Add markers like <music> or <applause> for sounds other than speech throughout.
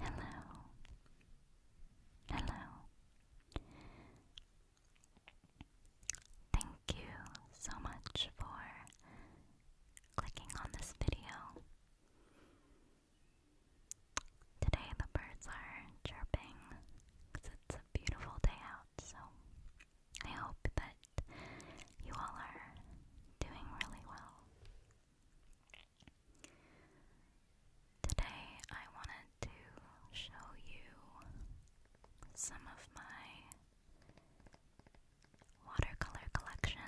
Hello. Hello. Thank you so much for clicking on this video. Today the birds are chirping because it's a beautiful day out, so I hope that you all are doing really well. Today, I wanted to show you some of my watercolor collection.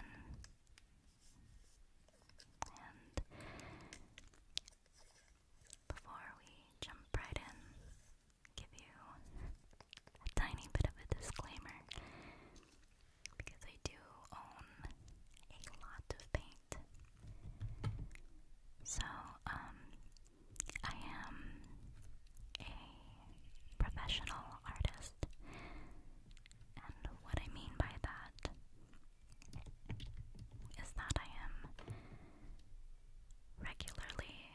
And before we jump right in, give you a tiny bit of a disclaimer because I do own a lot of paint. So, um, I am a professional artist, and what I mean by that is that I am regularly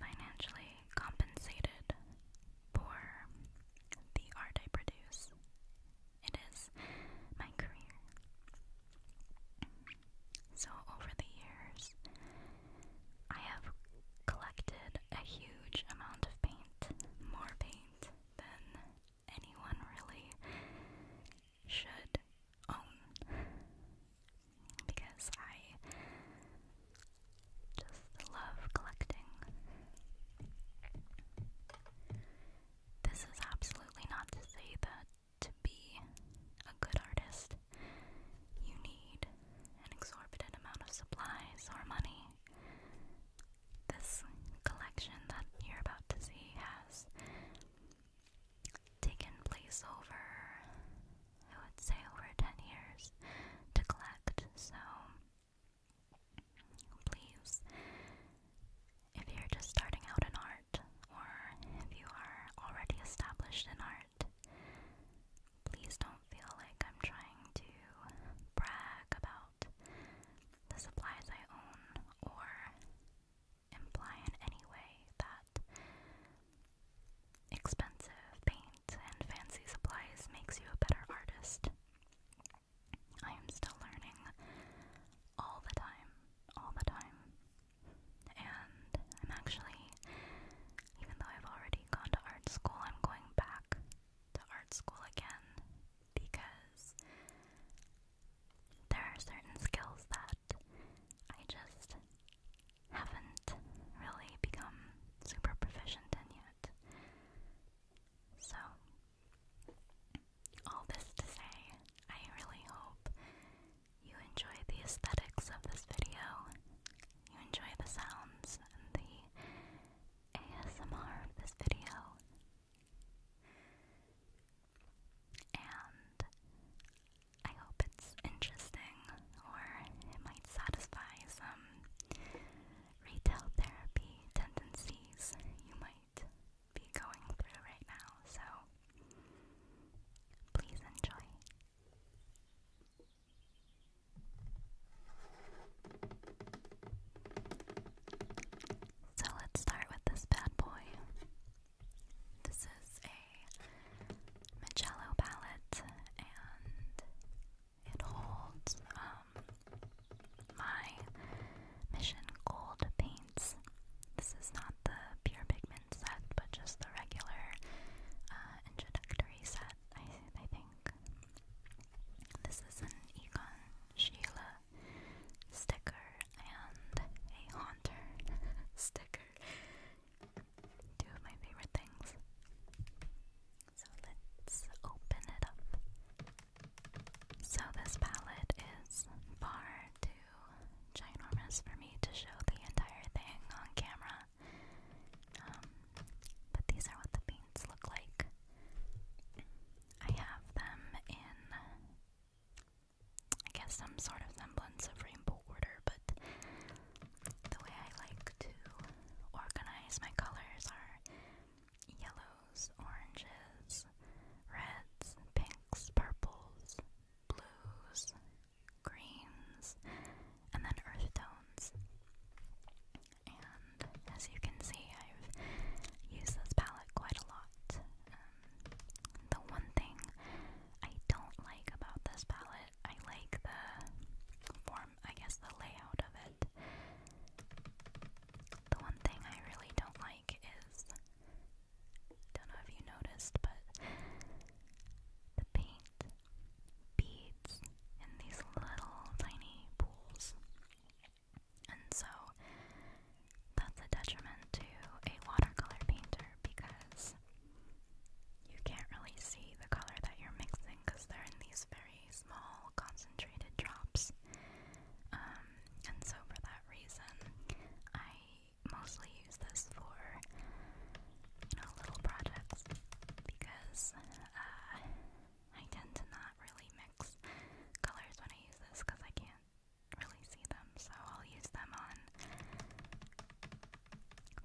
financially compensated for the art I produce. It is my career. So, over the years, I have collected a huge amount of paint, more paint than anyone really should own, because I just love collecting. This is absolutely not to say that to be a good artist, you need an exorbitant amount of supplies or money. This collection that you're about to see has taken place over, I would say, over 10 years to collect, so Please, if you're just starting out in art, or if you are already established in art, please don't feel like I'm trying to brag about the supplies I own or imply in any way that expensive paint and fancy supplies makes you a better artist. I am still learning all the time, all the time. And I'm actually, even though I've already gone to art school, I'm going back to art school again because there are certain skills that I just haven't really become super proficient in yet. So, all this to say, I really hope you enjoy the aesthetics of this video, you enjoy the sounds the ASMR of this video, and I hope it's interesting or it might satisfy some retail therapy tendencies you might be going through right now, so please enjoy. So let's start with this bad boy. This is a Magello palette, and it holds um, my Mission Gold paints. This is not the pure pigment set, but just the regular uh, introductory set, I, think. This is an Egon Sheila sticker and a Haunter <laughs> sticker. Two of my favorite things. So let's open it up. So this palette is far too ginormous for me to show the entire thing on camera. Um, but these are what the paints look like. I have them in, I guess, some sort of semblance of rainbow order, but the way I like to organize my colors are yellows, oranges, reds, pinks, purples, blues, greens, and then earth tones. And as you can see, I've used this palette quite a lot. Um, the one thing I don't like about this palette, I like the I guess, the layout of it. The one thing I really don't like is, don't know if you noticed, but the paint beads in these little tiny pools. And so that's a detriment to a watercolor painter because you can't really see the color that you're mixing because they're in these very small concentrated drops. Um, and so for that reason, I mostly use this for, you know, little projects because uh, I tend to not really mix colors when I use this because I can't really see them, so I'll use them on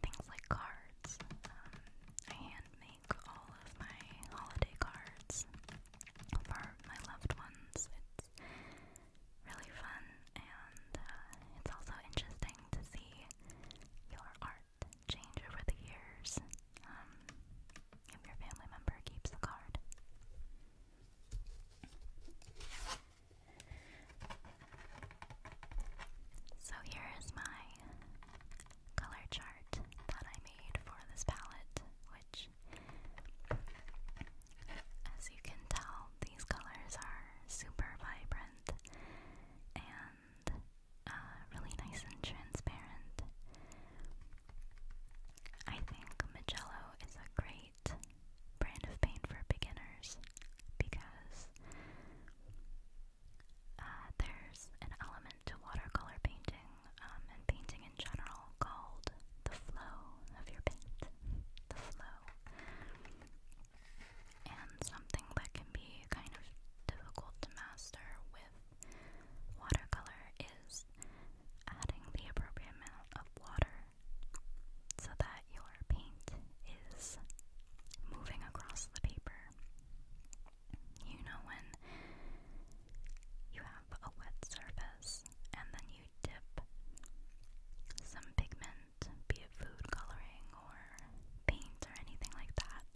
things like cards. Um, handmade all of my holiday cards for my loved ones. It's really fun and uh, it's also interesting to see your art change over the years um, if your family member keeps the card. So here is my color chart that I made for this palette, which, as you can tell, these colors are super vibrant and uh, really nice and transparent. I think Magello is a great brand of paint for beginners because uh, there's an element to watercolor painting um, and painting in general called the flow of your paint. The flow. And something that can be kind of difficult to master with watercolor is adding the appropriate amount of water so that your paint is moving across the paper. You know, when you have a wet surface and then you dip some pigment, be it food coloring or paint or anything like that,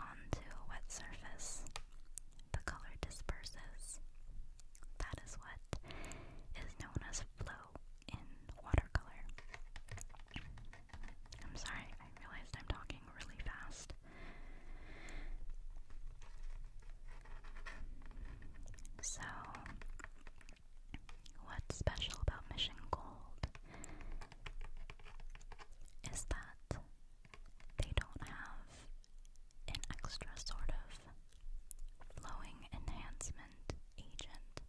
onto a wet surface, the color disperses. That is what is known as flow in watercolor. I'm sorry, I realized I'm talking really fast. So, what's special about Mission Gold is that they don't have an extra sort of flowing enhancement agent.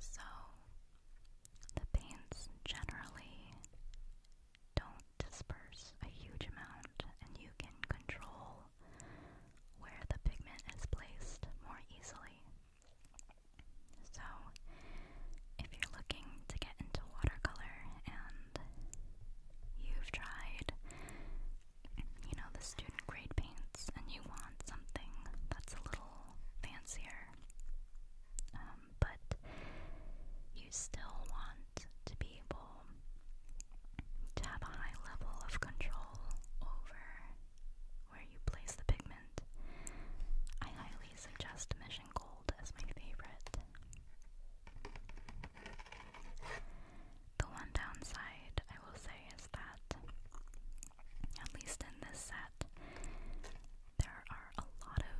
So, the paints generally don't disperse a huge amount, and you can control where the pigment is placed more easily. So, if you're looking to get into watercolor and you've tried, you know, the student grade paints and you want something that's a little fancier, um, but you still want to be able to have a high level of control over where you place the pigment. I highly suggest Mission Gold as my favorite. The one downside I will say is that, at least in this set, there are a lot of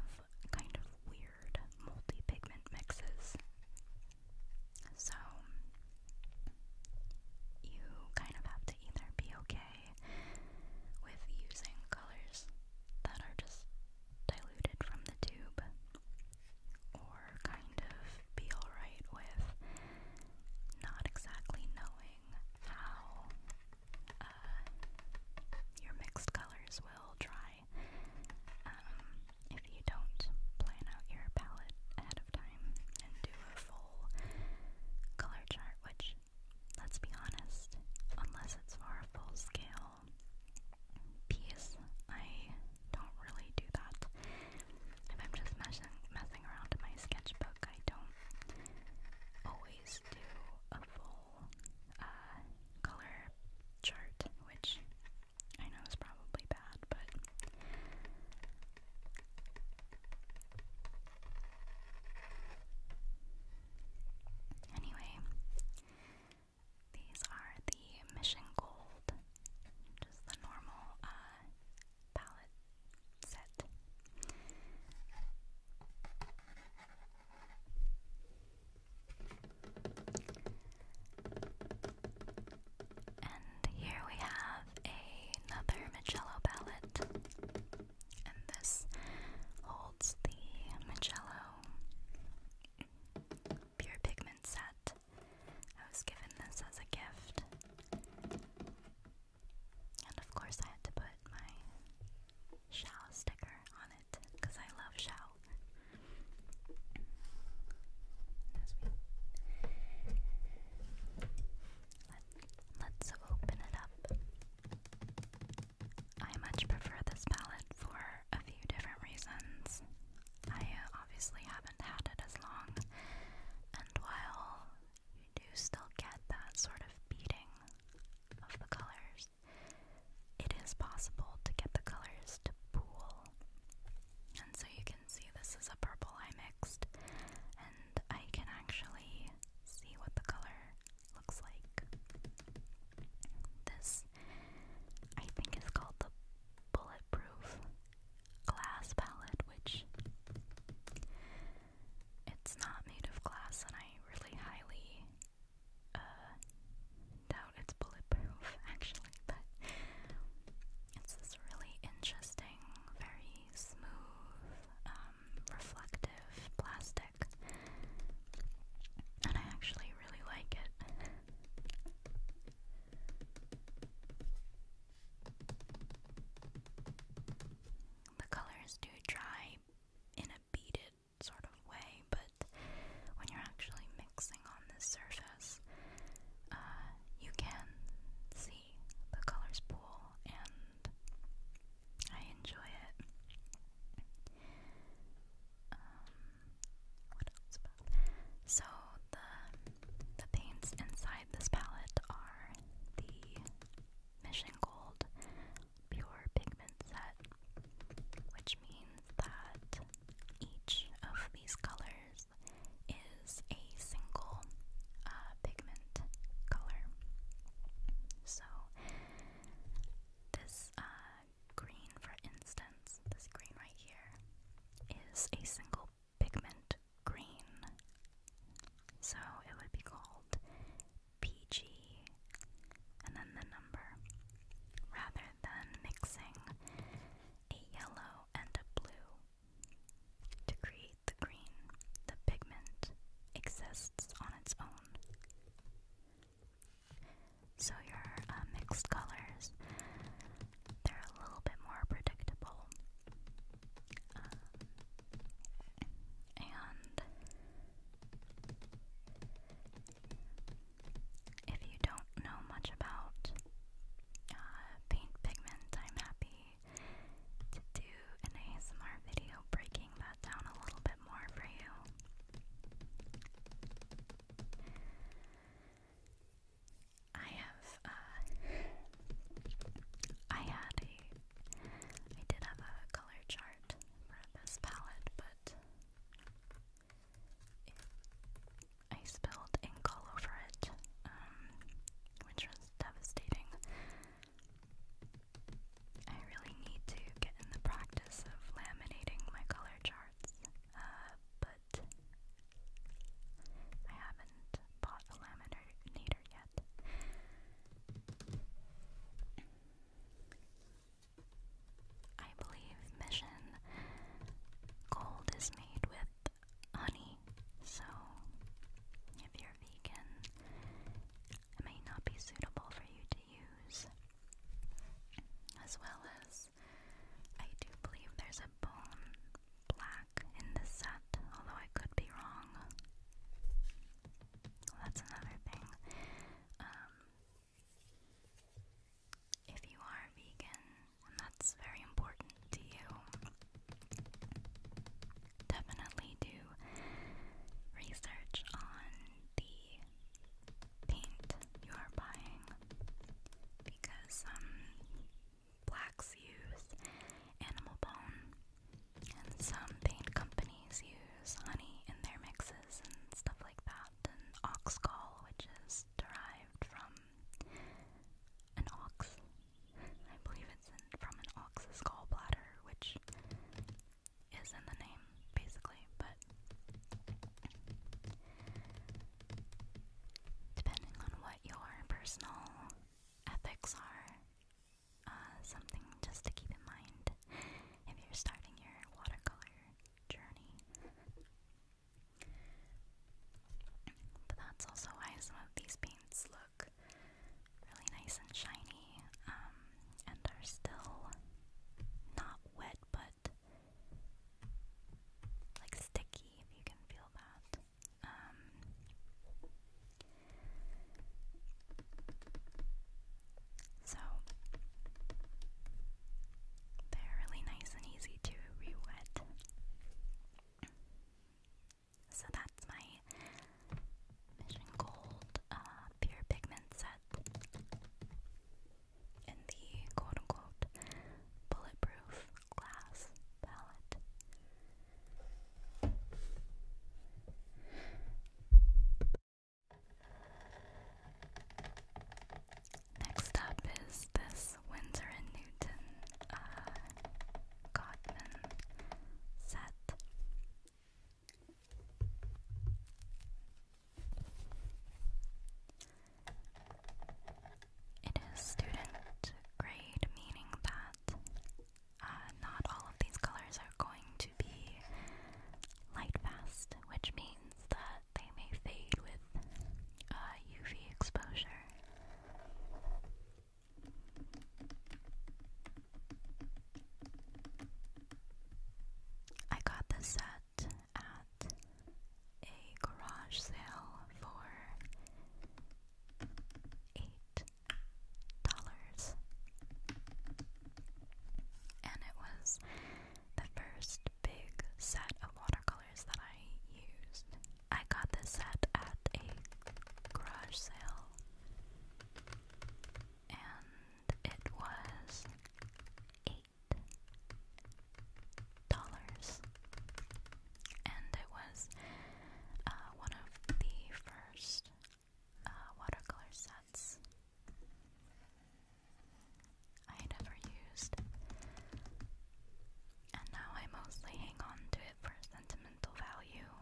kind of weird multi-pigment mixes. So you kind of have to either be okay with using colors that are just diluted from the tube or kind of be alright with not exactly knowing how uh, your mixed colors will dry um, if you don't plan out your palette ahead of time and do a full color chart, which, let's be honest, unless it's for a full scale piece, I don't really do that. If I'm just messing, messing around in my sketchbook, I don't always do a full uh, color chart, which I know is probably bad, but anyway, these are the Mission Gold, just the normal uh, palette set. And here we have another Magello palette. And this holds the Magello Pure Pigment set. I was given this as a gift. And of course, I had to put my Shao sticker on it because I love Shao. Let, us open it up. I much prefer this palette for a few different reasons. I uh, obviously haven't had it as long, and while you do still get that sort of beating of the colors, it is possible to get the colors to pool. And so you can see this is a purple I mixed, and I can actually see what the color looks like. This, I think, is called the Bulletproof Glass Palette, which it's not made of glass, and I really highly uh, doubt it's bulletproof <laughs> actually, but it's this really interesting, very smooth, um, reflective plastic, and I actually really like it. The colors do dry in a beaded sort of way, but when you're actually mixing on this surface, uh, you can see the colors pool, and I enjoy it. Um, what else So the the paints inside this palette are the Mission Gold pure pigment set, which means that each of these colors is a single uh, pigment color. So, this uh, green, for instance, this green right here, is a single pigment green. So, it would be called PG, and then the number, rather than mixing a yellow and a blue. To create the green, the pigment exists on its own. So your uh, mixed colors, they're a little bit more predictable. Um, and if you don't know much about uh, paint pigment, I'm happy to do an ASMR video breaking that down a little bit more for you. I have, uh, I had a, I did have a color chart start for this palette, but I spilled ink all over it, um, which was devastating. I really need to get in the practice of laminating my color charts, uh, but I haven't bought a laminator yet. I believe mission gold is made with honey, so if you're vegan, it may not be suitable for you to use. As well as, I do believe there's a bone black in the set, although I could be wrong. that's another thing. Um, if you are vegan, and that's very important to you, definitely do research on the paint you are buying because some um, blacks use animal bone and some paint companies companies use honey in their mixes and stuff like that, and oxgall, which is derived from an ox. I believe it's in, from an ox's gallbladder, which is in the name, basically, but depending on what your personal ethics are, uh, something just to keep in mind if you're starting your watercolor journey. But that's also why some of these paints look really nice and shiny um, and are still not wet but like sticky if you can feel that. Um, so they're really nice and easy to re So that's my Mission Gold uh, Pure Pigment set in the quote unquote bulletproof glass palette. Next up is this Windsor and Newton uh, set. It is student grade, meaning that uh, not all of these colors are going to be light which means that they may fade with UV uh, exposure. I got this set at a garage sale for eight dollars and it was the first big set of watercolors that I used. I got this set at a garage sale, and it was eight dollars, and it was uh, one of the first uh, watercolor sets. I never used, and now I mostly hang on to it for sentimental value.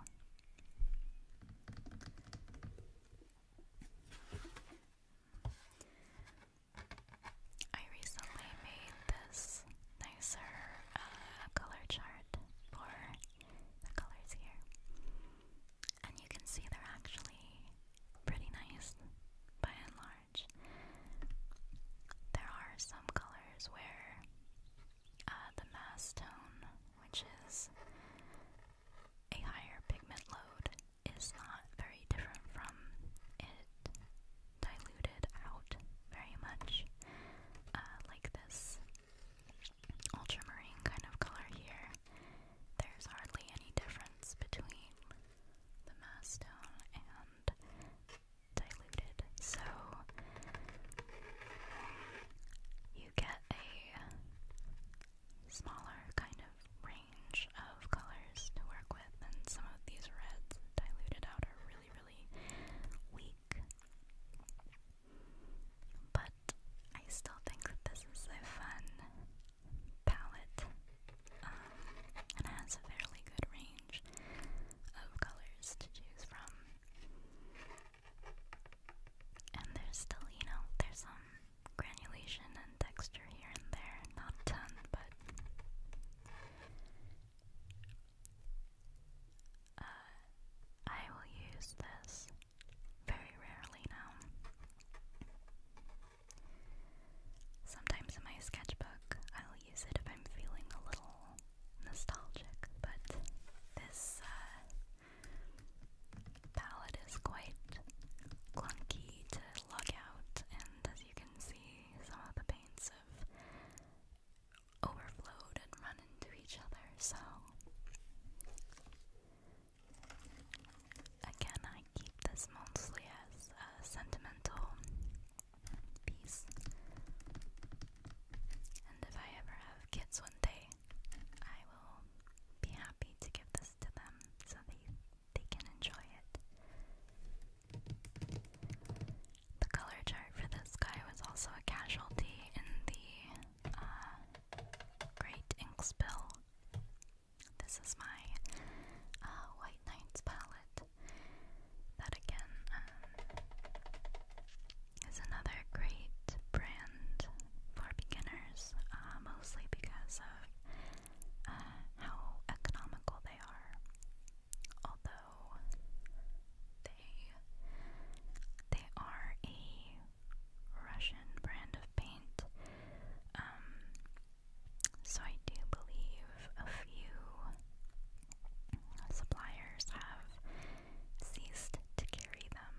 I recently made this nicer uh, color chart for the colors here and you can see they're actually pretty nice by and large. There are some colors where uh, the mass tone, which is a higher pigment load, is not very different from it diluted out very much, uh, like this ultramarine kind of color here there's hardly any difference between the mastone and diluted. So you get a smaller kind of range of colors to work with, and some of these reds diluted out are really, really weak. But I still think that this is a fun palette, um, and has a fairly good range of colors to choose from. And there's still, you know, there's some granulation and texture here and there, not a ton, but. Uh, I will use this very rarely now. Sometimes in my sketchbook, I'll use it if I'm feeling a little nostalgic, but this uh, palette is quite clunky to lug out, and as you can see, some of the paints have overflowed and run into each other, so Again, I keep this mostly as a sentimental piece. And if I ever have kids one day, I will be happy to give this to them so they, they can enjoy it. The color chart for this guy was also a casualty in the uh, Great Ink Spill this is my uh, White Nights palette. That again um, is another great brand for beginners, uh, mostly because of uh, how economical they are. Although they they are a Russian brand of paint. Um, so I do believe a few suppliers have ceased to carry them.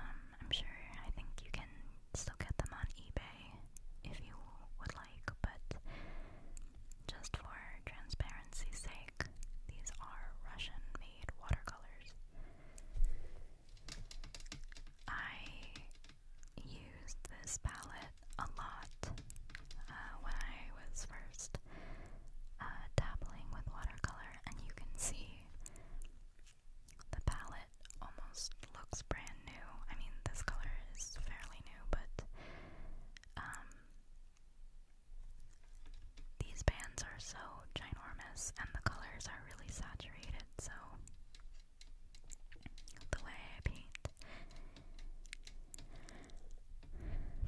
Um, I'm sure I think you can still get them on eBay if you would like, but just for transparency's sake, these are Russian made watercolors. I used this palette a lot uh, when I was first uh, dabbling with watercolor, and you can see the palette almost looks brand new. I mean, this color is fairly new, but um, these bands are so ginormous, and the colors are really saturated so the way I paint.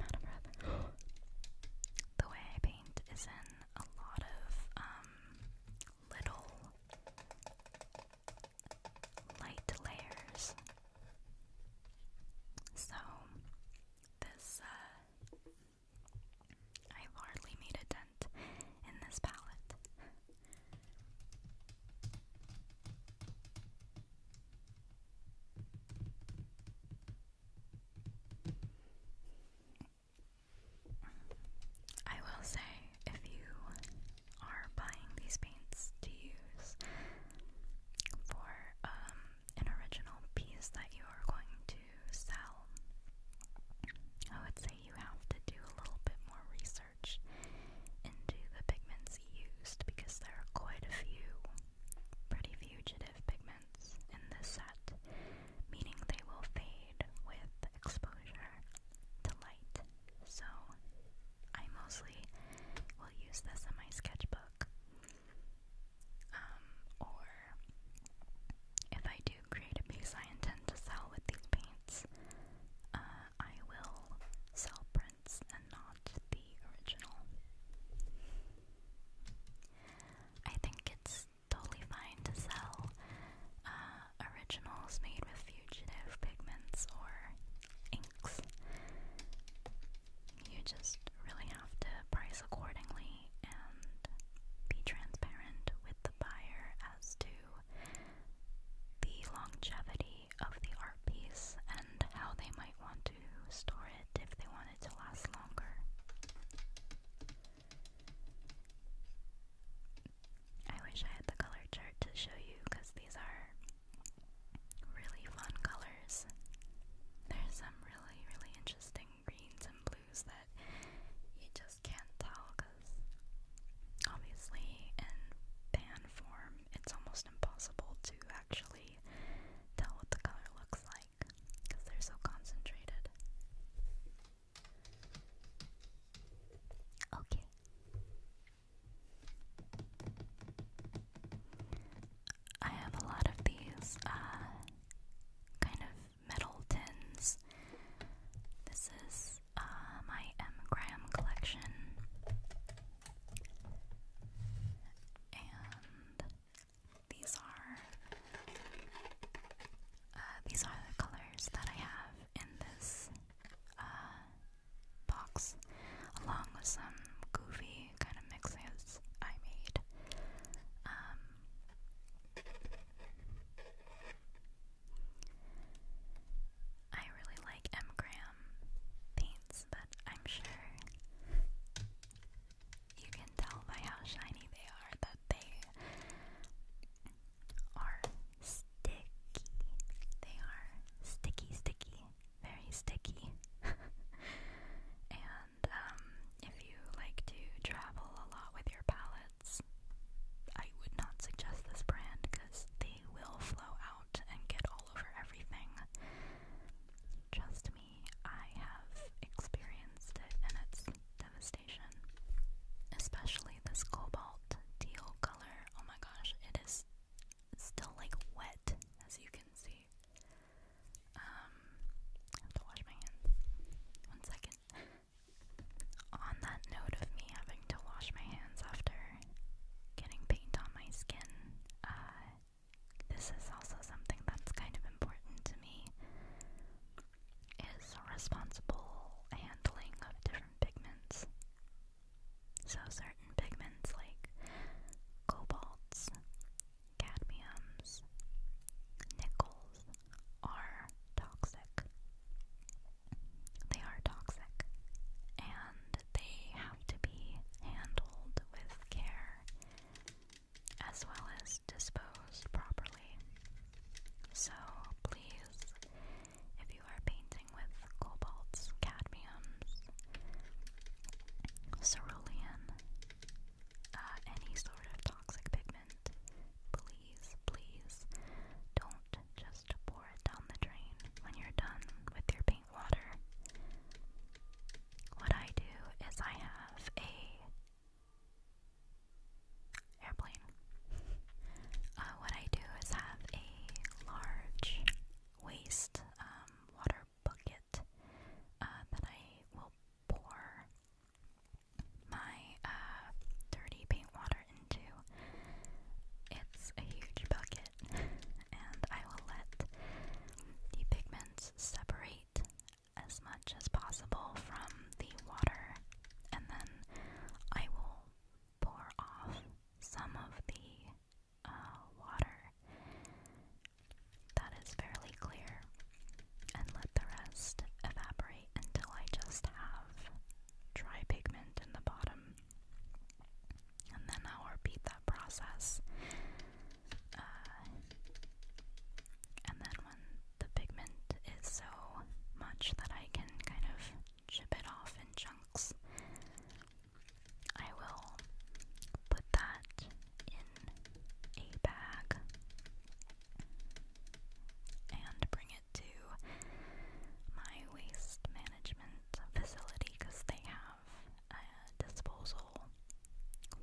out of breath. <gasps> the way I paint is in a lot of um, little light layers. So this uh, I've hardly made a dent in this palette. I will say, if you are buying these paints to use for um, an original piece that you are going to sell, I would say you have to do a little bit more research into the pigments used because there are quite a few pretty fugitive pigments in the set, meaning they will fade with exposure to light. So I mostly will use this in my sketchbook. Um, or if I do create a piece I intend to sell with these paints, uh, I will sell prints and not the original. I think it's totally fine to sell uh, originals made with fugitive pigments or inks. You just really have to price accordingly and be transparent with the buyer as to the longevity of the art piece and how they might want to store it if they want it to last longer. I wish I had the color chart to show you because these are really fun colors. There's some really, really interesting greens and that you just can't tell because obviously in pan form it's almost impossible to actually tell what the color looks like because they're so concentrated. Okay. I have a lot of these uh, kind of metal tins. This is uh, my M. Graham collection. And these are uh, these are the colors that I have in this uh, box, along with some goofy kind of mixes I made. Um, I really like M. Graham paints, but I'm sure you can tell by how shiny they are that they are sticky. They are sticky, sticky, very sticky. <laughs> and um, if you like to travel a lot with your palette, I would not suggest this brand because they will flow out and get all over everything. Trust me, I have experienced it and it's devastation. Especially this cobalt teal color. Oh my gosh, it is still like wet, as you can see. Um, have to wash my hands. One second on that note of me having to wash my hands after getting paint on my skin, uh, this is also something that's kind of important to me is responsible handling of different pigments. So certain pigments like cobalts, cadmiums, nickels are toxic. They are toxic and they have to be handled with care as well as disposed properly. So please, if you are painting with cobalts, cadmiums, cerulean, uh, any sort of toxic pigment, Please, please don't just pour it down the drain when you're done with your paint water. What I do is I have a airplane. Uh, what I do is have a large waste um, water bucket uh, that I will pour my uh, dirty paint water into. It's a huge bucket, and I will let the pigments separate as much as possible from the water, and then I will pour off some of the uh, water that is fairly clear and let the rest evaporate until I just have dry pigment in the bottom. And then I'll repeat that process. Uh, and then when the pigment is so much that I can kind of chip it off in chunks, I will put that in a bag and bring to my waste management facility because they have disposal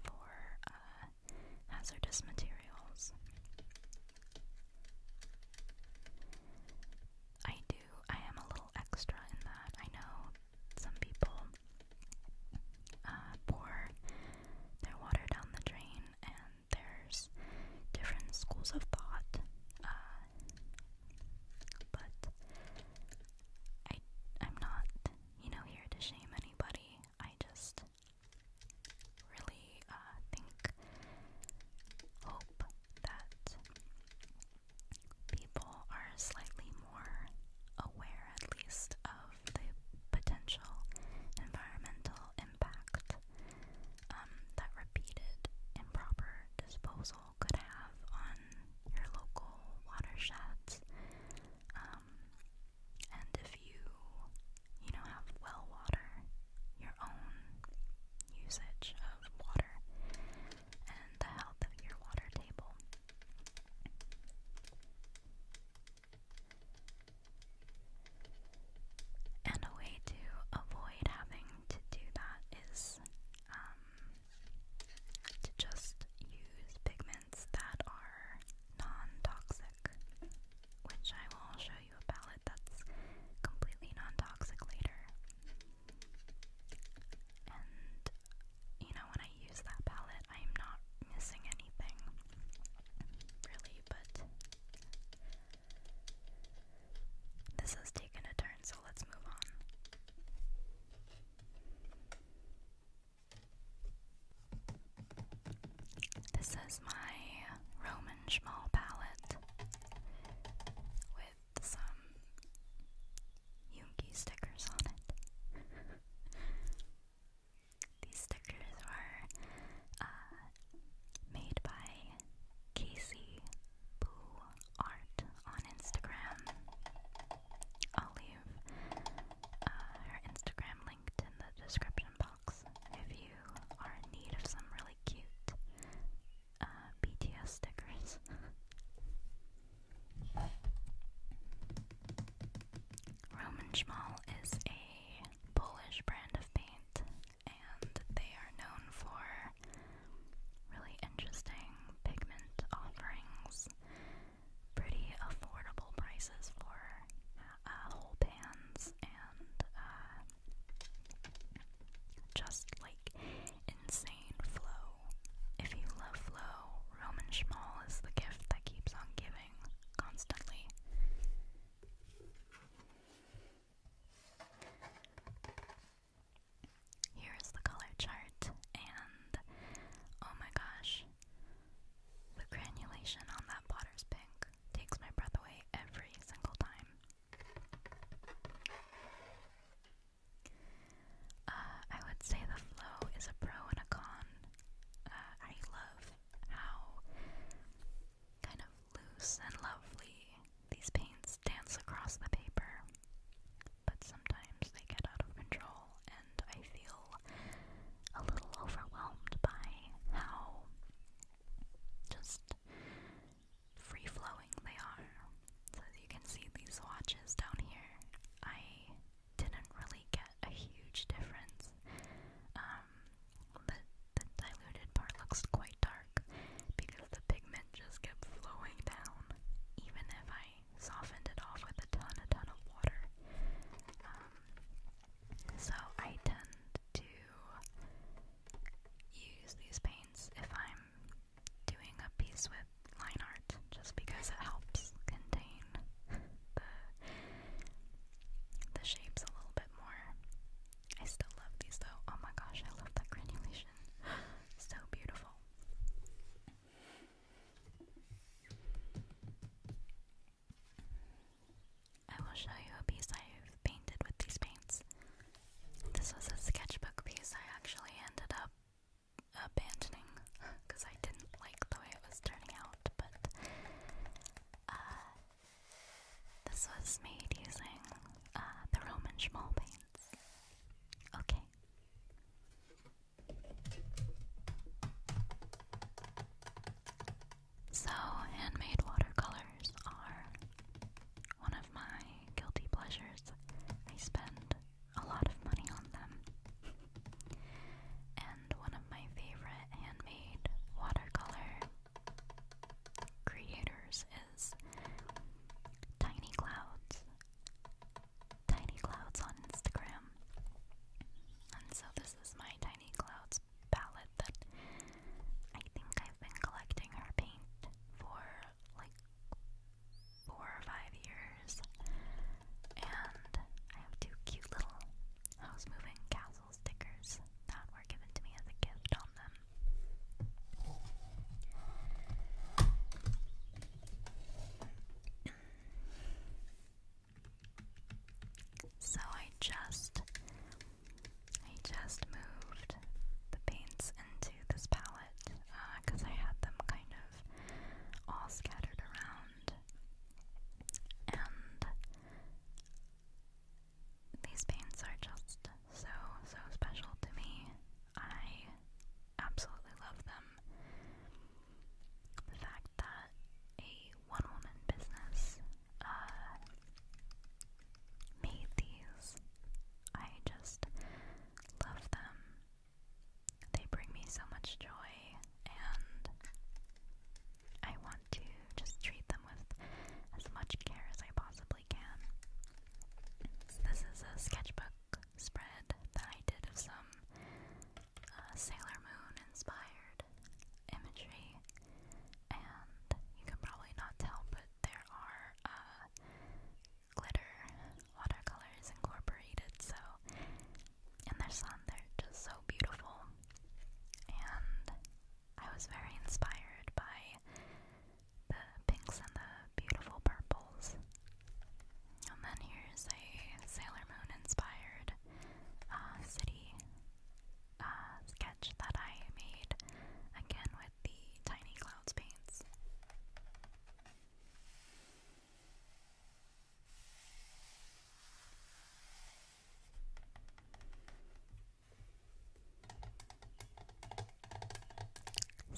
for uh, hazardous materials. I do, I am a little extra in that. I know some people uh, pour their water down the drain and there's different schools of thought, uh, but I I'm not you know here to shame anybody. I just really uh, think hope that people are slightly more aware at least of the potential environmental impact um, that repeated improper disposal could have on your local watersheds. Um, and if you, you know, have well water, your own usage of water, and the health of your water table. And a way to avoid having to do that is um, to just use pigments that are non-toxic, which I will show you a palette that's completely non-toxic later. And you know, when I use that palette, I'm not missing anything, really, but this has taken a turn, so let's move on. This is my Roman Schmal palette with some Yungi stickers on it. <laughs> These stickers were uh, made by Casey Boo Art on Instagram. I'll leave uh, her Instagram linked in the description box if you are in need of some really cute uh, BTS stickers. <laughs> Roman Schmal is a Polish brand of paint and they are known for really interesting pigment offerings, pretty affordable prices for uh, whole pans, and uh, just like insane flow. If you love flow, Roman Schmal is the gift that keeps on giving constantly. Here is the color chart, and oh my gosh, the granulation on that potter's pink takes my breath away every single time. Uh, I would say the flow is a pro and a con. Uh, I love how kind of loose and lovely. These paints dance across the paper, but sometimes they get out of control, and I feel a little overwhelmed by how just free flowing they are. So, as you can see, these swatches down here, I didn't really get a huge difference. Um, the, diluted part looks quite dark because the pigment just kept flowing down, even if I softened it off with a ton, a ton of water. Um, so I tend to use these paints if I'm doing a piece with line art, just because it helps contain the shapes a little bit more. I still love these though. Oh my gosh, I love that granulation. <gasps> so beautiful. I will show you a piece I've painted with these paints. This was a sketchbook piece I actually ended up abandoning because <laughs> I didn't like the way it was turning out, but uh, this was made using uh, the Roman schmoll paints. Okay. So, handmade watercolors are one of my guilty pleasures. I spend a lot of money on them. and one of my favorite handmade watercolor creators is Tiny Clouds. Tiny Clouds on Instagram. And so this is my Tiny Clouds palette that I think I've been collecting her paint for like four or five years. And I have two cute little house moving castles puzzle stickers that were given to me as a gift on them. So I just I just moved the paints into this palette because uh, I had them kind of all scattered around and these paints are just so, so special to me. I absolutely love them. The fact that a one woman business uh, made these, I just love them. They bring me so much joy, and I want to just treat them with as much care as I possibly possibly can. This is a sketchbook spread that I did of some uh, Sailor Moon inspired imagery, and you can probably not tell, but there are uh, glitter watercolors incorporated, so. And their sun, they're just so beautiful. And I was very inspired by the pinks and the beautiful purples. And then here's a Sailor Moon inspired uh, city uh, sketch that I made again with the Tiny Clouds paints.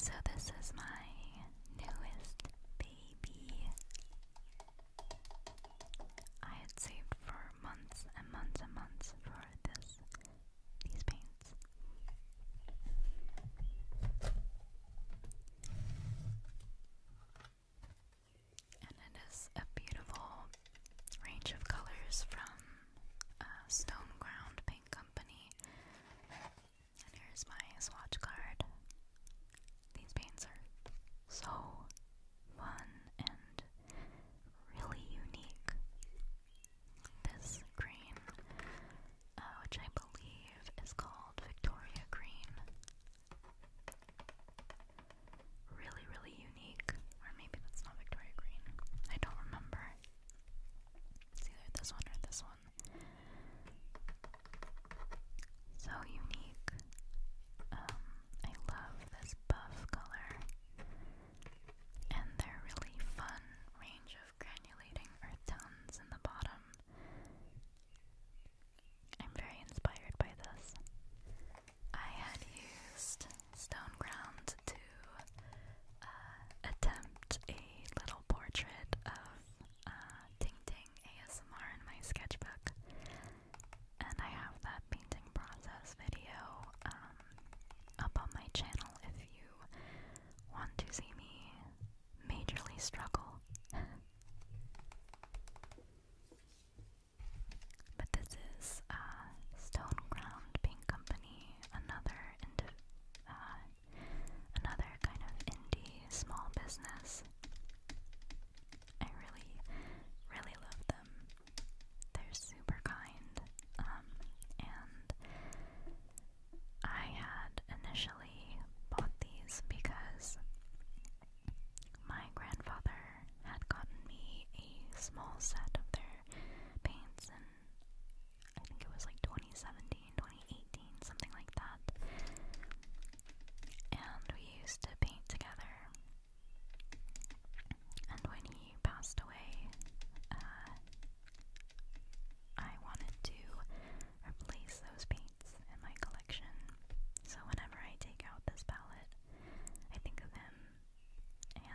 So, this is my newest baby. I had saved for months and months and months for this these paints. And it is a beautiful range of colors from uh, Stone Ground Paint Company. And here's my swatch card. These paints are so fun and really unique. This green, uh, which I believe is called Victoria Green. Really, really Unique, or maybe that's not Victoria Green. I don't remember. either this one or this one. So unique. Um, I love this buff color. And their really fun range of granulating earth tones in the bottom. I'm very inspired by this. I had used Stone Ground to uh, attempt a little portrait of uh, Ting ASMR in my sketchbook, and I have that painting process video um, up on my channel if you want to see me majorly struggle. <laughs> But this is uh, Stone Ground Paint Company any another into uh, another kind of indie small business. I really, really love them. They're super kind. Um, and I had initially bought these because my grandfather had gotten me a small set of their paints and I think it was like 2017, 2018, something like that. And we used to paint together. And when he passed away, uh, I wanted to replace those paints in my collection. So whenever I take out this palette, I think of him and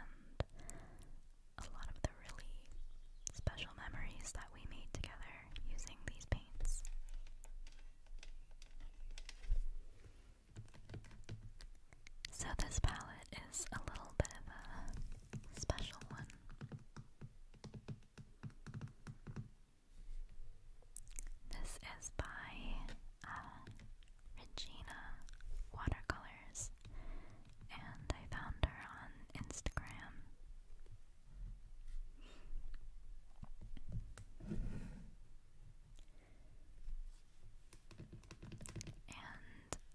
a lot of the really special memories that we made together using these paints. So, this palette is a little bit of a special one. This is by uh, Regina Watercolors, and I found her on Instagram. And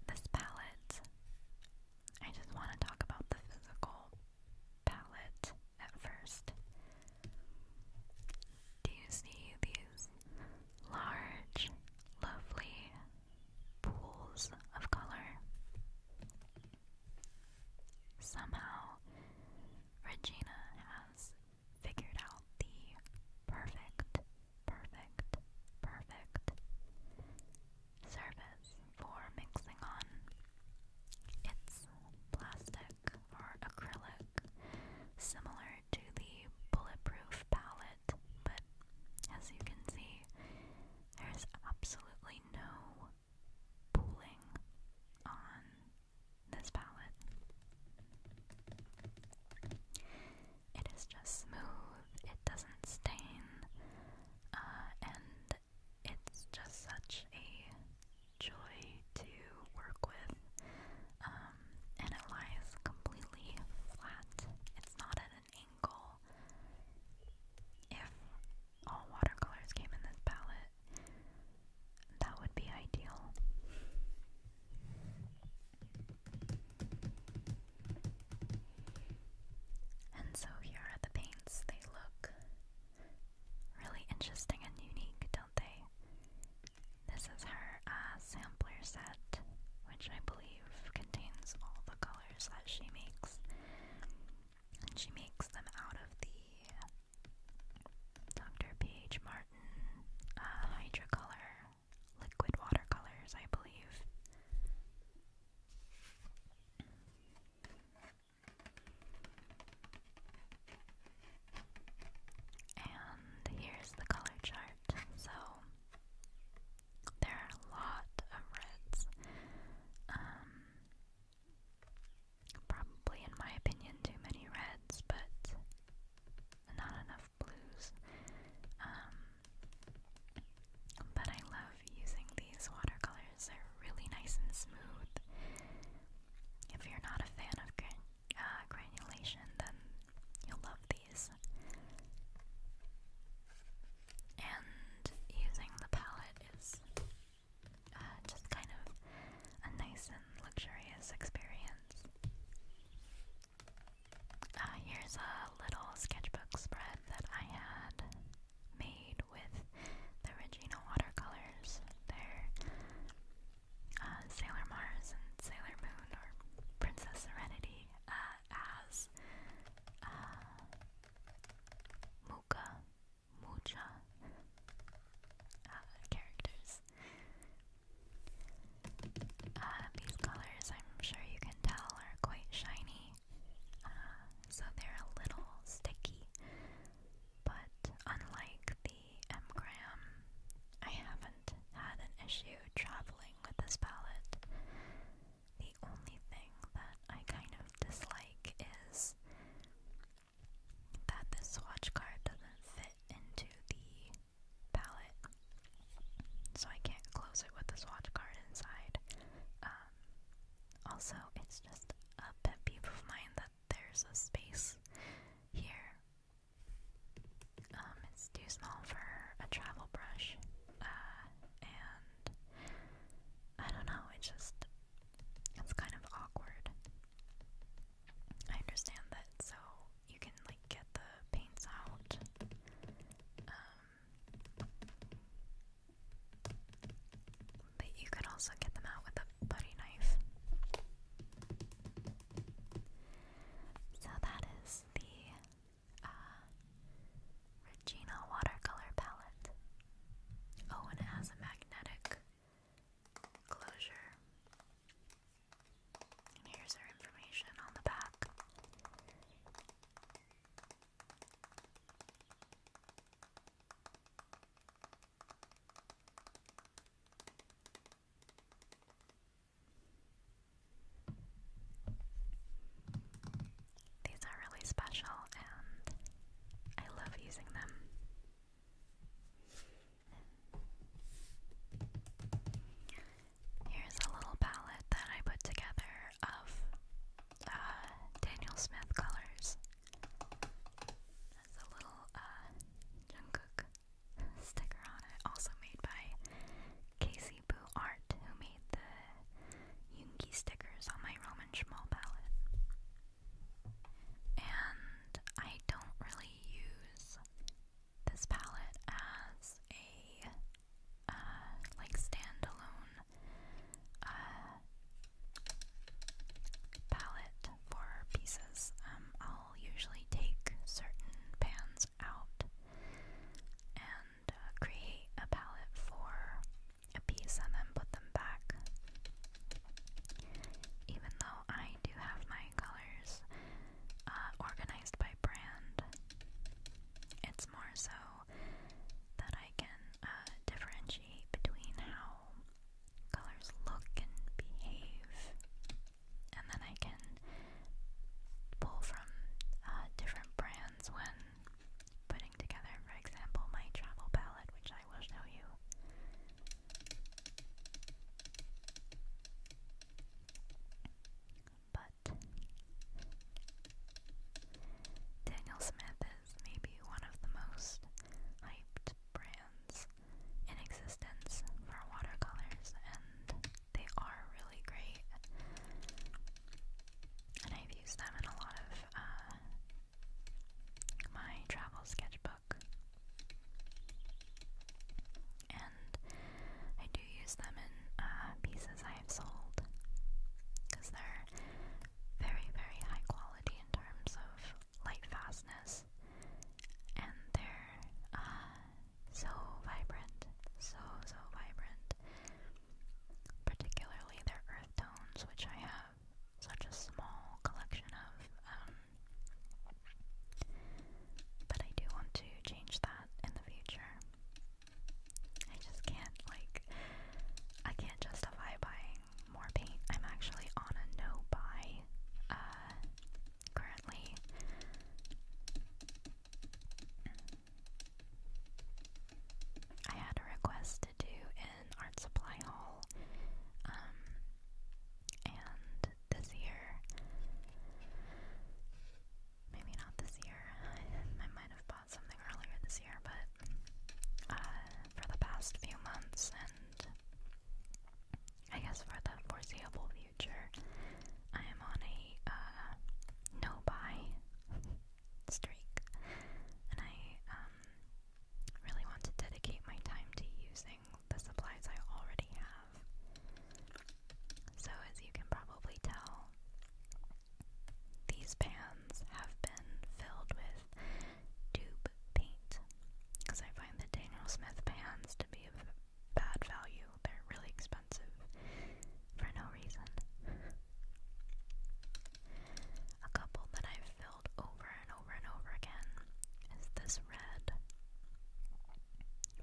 this palette, I just want to talk about the physical palette at first. Do you see these large, lovely pools of color. Somehow, Regina has figured out the perfect, perfect, perfect service for mixing on. It's plastic or acrylic, similar to the bulletproof palette but as you can see, there's absolutely no pooling on this palette. It is just smooth, it doesn't stain, uh, and it's just such a joy to work with. Um, and it lies completely flat. It's not a angle. If all watercolors came in this palette, that would be ideal. And so here are the paints. They look really interesting and unique, don't they? This is her uh, sampler set, which I believe contains all the colors that she makes. And she makes them out of the Dr. P.H. Martin uh, liquid watercolors, I believe. And here's the color chart. So there are a lot of reds. Um, probably, in my opinion, too many reds, but not enough blues. Um, but I love using these watercolors, they're really nice and smooth. If you're not a fan of uh, granulation, then You'll love these. And using the palette is uh, just kind of a nice and luxurious experience. Uh, here's a little sketchbook spread that I had made with the Regina watercolors. they uh, Sailor Mars and Sailor Moon or Princess Serenity as uh, Muka, Mucha uh, characters. Uh, these colors, I'm sure you can tell, are quite shiny, so they're a little sticky. But unlike the Mgram, I haven't had an issue traveling with this palette. The only thing that I kind of dislike is that this swatch card doesn't fit into the palette. So I can't close it with the swatch card inside. Um, also, it's just a pet peeve of mine that there's a space here um, it's too small for a travel brush, uh, and I don't know, it's just, it's kind of awkward. I understand that, so you can, like, get the paints out, um, but you could also get them out with a putty knife. So that is the uh, Regina watercolor palette. Oh, and it has a magnetic closure. And here's her information on the back. These are really special and I love using them. Here's a little palette that I put together of uh, Daniel Smith colors. That's a little uh, Jungkook sticker on it, also made by KC Cebu Art who made the Yungi stickers on my Roman Schmal palette. And I don't really use this palette as a uh, like standalone uh, palette for pieces. Um, I'll usually take certain pans out and create a palette for a piece and then put them back. Even though I do have my colors uh, organized by brand, it's more so that I can uh, differentiate between how colors look and behave, and then I can pull from uh, different brands when putting together, for example, my travel palette, which I will show you. But Daniel Smith is maybe one of the most hyped brands in existence for watercolors, and they are really great. And I've used them in a lot of uh, my travel sketchbook. And I do use them in uh, pieces I have sold because they're very, very high quality in terms of light fastness, and they're uh, so vibrant, so, so vibrant. Particularly their earth tones, which I have such a small collection of. Um, but I do want to change that in the future. I just can't, like, I can't justify buying more paint. I'm actually on a no buy uh, currently. I had a request to do an art supply haul, um, and this year, maybe not this year, <laughs> I, might have bought something earlier this year, but uh, for the past few months and I guess for the foreseeable future, I am on a uh, no buy <laughs> streak, and I um, really want to dedicate my time to using the supplies I already have. So, as you can probably tell, these pans have been filled with tube paint because I find the Daniel Smith pans to be of bad value you. They're really expensive for no reason. A couple that I've filled over and over and over again is this red,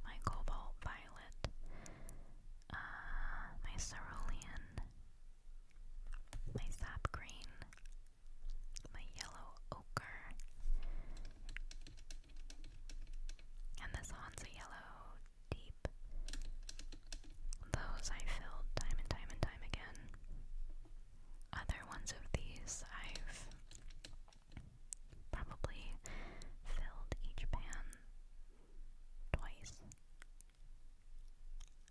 my cobalt violet, uh, my cerulean, my sap green, my yellow ochre, and this Hansa yellow deep. Those I filled time and time and time again. Other ones of these I've probably filled each pan twice.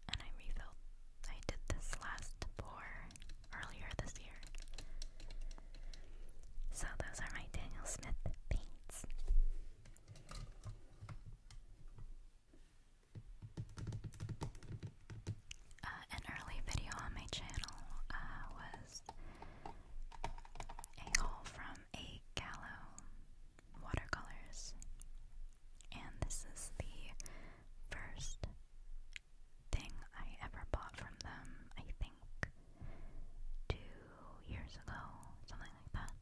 And I refilled. I did this last pour earlier this year. So those are my Daniel Smith paints. Uh, an early video on my channel uh, was a haul from a Gallo watercolors, and this is the first thing I ever bought from them. I think years ago, something like that.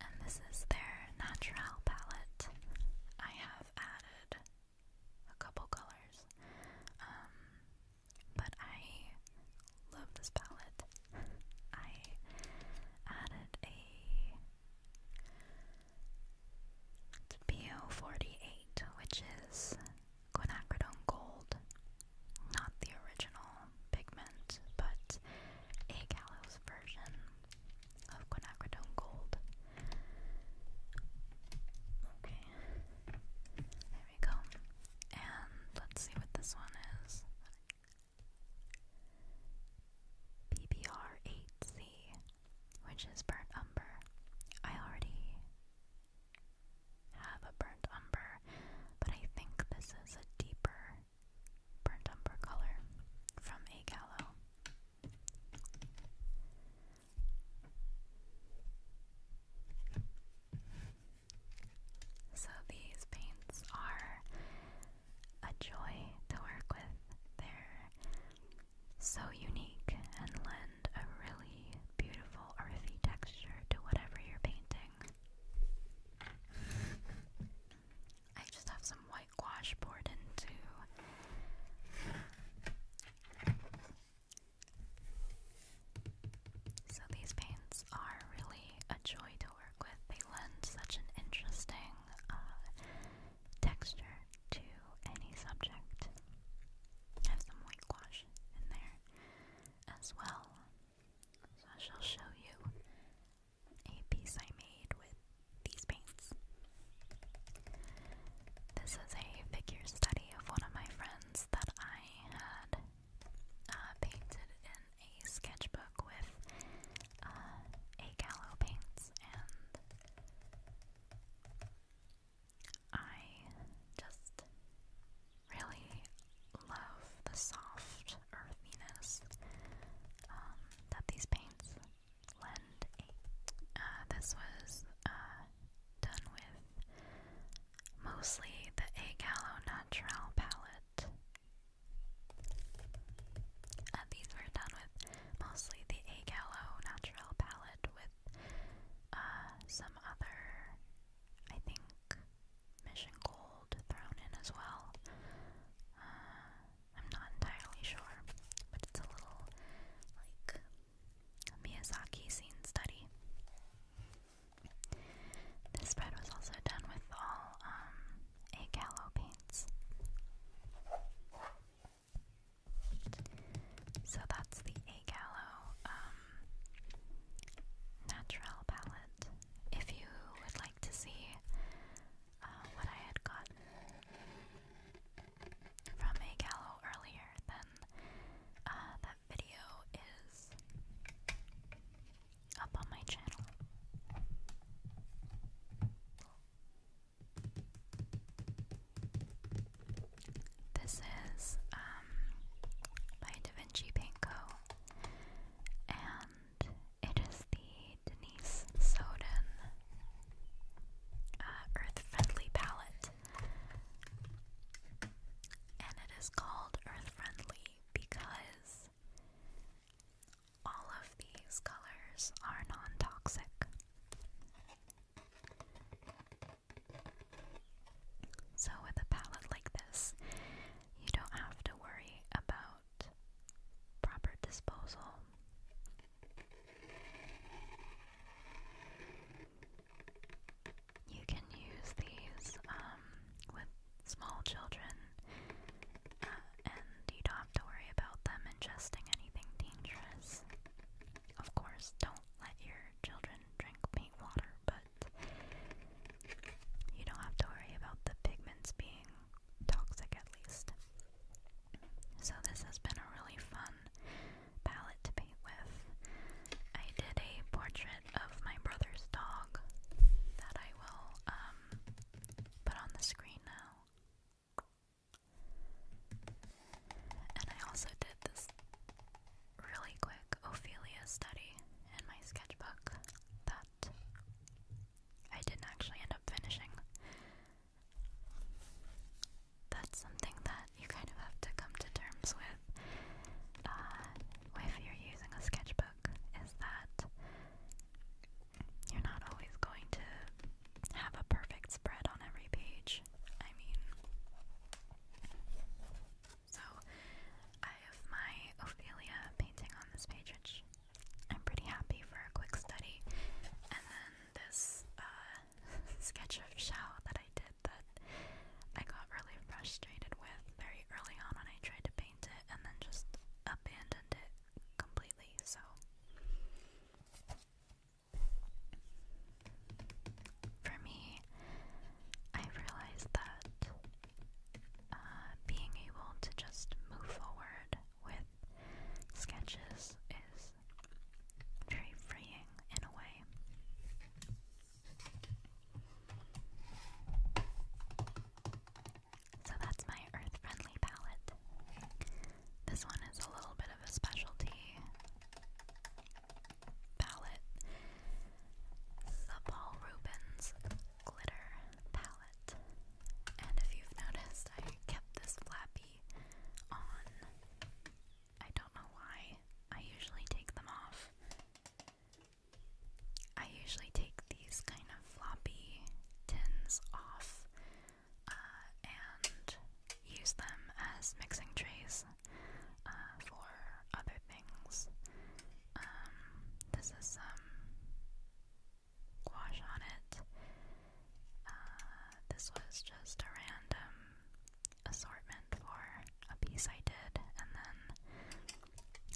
And this is their natural palette. I have added a couple colors, um, but I love this palette. I added a PO48, which is quinacridone gold. Not the original pigment, but a gallows version of quinacridone gold. Okay, there we go. And let's see what this one is. BBR8C which is burnt umber. I already have a burnt umber, but I think this is a deeper burnt umber color from a gallo. So these paints are a joy to work with. They're so unique and lend a really beautiful earthy texture to whatever you're painting. I just have some white gouache poured into. So these paints are really a joy to work with. They lend such an interesting uh, texture to any subject. Have some white in there as well. So I shall show you a piece I made with these paints. This is a figure study of one of my friends that I had uh, painted in a sketchbook with uh, a gallo paints and I just really love the soft earthiness um, that these paints lend. Uh, this was uh, done with mostly the Agalo Natural palette. Uh, these were done with mostly the A Gallo Natural palette with uh, some other, I think, Mission Gold thrown in as well. Uh, I'm not entirely sure, but it's a little like Miyazaki scene study. This spread was also done with all um, A Gallo paints. So that's the Agalo um, Natural palette. If you would like to see uh, what I had gotten from Agalo earlier, then uh, that video is up on my channel. This is um, by DaVinci Paint Co. And it is the Denise Soden uh, Earth Friendly palette. And it is called Earth Friendly because all of these colors are non toxic. So, with a palette like this, you don't have to worry about proper disposal. You can use these um, with small children. Uh, and you don't have to worry about them ingesting anything dangerous. Of course, don't let your children drink paint water, but you don't have to worry about the pigments being toxic at least. So, this has been a really fun palette to paint with. I did a portrait of my brother's dog that I will um, put on the screen now. And I also did this really quick Ophelia study in my sketchbook that I didn't actually end up finishing. That's something that you kind of have to come to terms with uh, if you're using a sketchbook, is that you're not always going to have a perfect spread on every page. I mean, so I have my Ophelia painting on this page, I'm pretty happy for a quick study. And then this uh, <laughs> sketch of Shao that I did that I got really frustrated with very early on when I tried to paint it and then just abandoned it completely. So for me, I realized that uh, being able to just move forward with sketches is very freeing in a way. So that's my earth friendly palette. This one is a little bit of a specialty palette. The Paul Rubens Glitter Palette. And if you've noticed, I kept this flappy on. I don't know why. I usually take them off. I usually take these kind of floppy tins off uh, and use them as mixing trays uh, for other things. Um, this is some gouache on it. Uh, this was just a random assortment for a piece I did, and then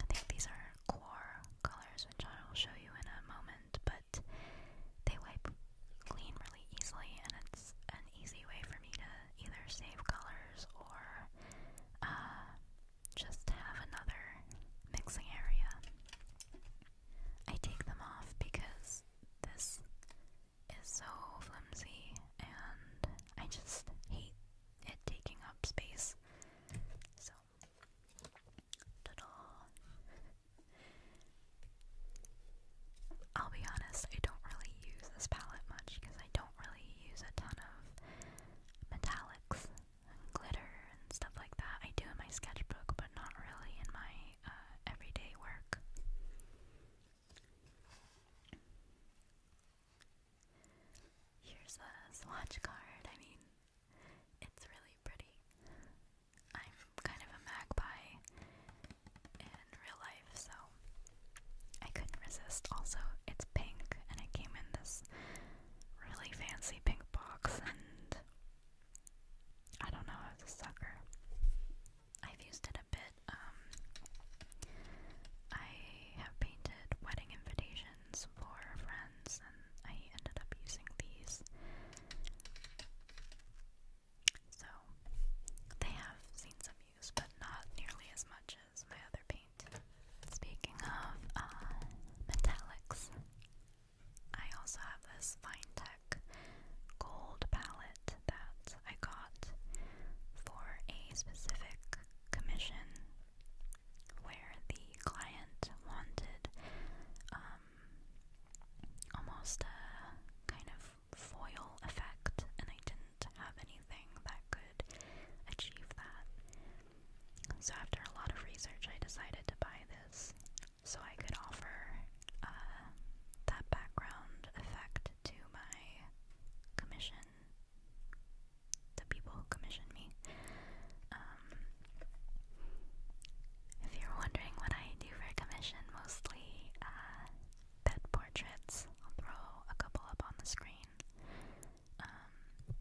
I think these are core colors, which I will show you in a moment, but they wipe clean really easily, and it's an easy way for me to either save colors or uh, just have another mixing area. I take them off because this is so flimsy and I just hate it taking up space. So I'll be honest, I don't really use this palette much because I don't really use a ton of metallics glitter and stuff like that. I do in my sketchbook, but not really in my uh, everyday work. Here's a swatch card. I mean, it's really pretty. I'm kind of a magpie in real life, so I couldn't resist. Also, it's pink and it came in this really fancy pink box, and I don't know, I was a sucker. I've used it a bit. Um, I have painted wedding invitations for friends, and I ended up using these. So they have seen some use, but not nearly as much as my other paint. Speaking of uh, metallics, I also have this Vinetech gold palette that I got for a specific commission where the client wanted um, almost a kind of foil effect, and I didn't have anything that could achieve that. So, after a lot of research, I decided to buy this so I could offer uh, that background effect to my commission, the people who commissioned me. Um, if you're wondering what I do for a commission, mostly uh, pet portraits. I'll throw a couple up on the screen. Um,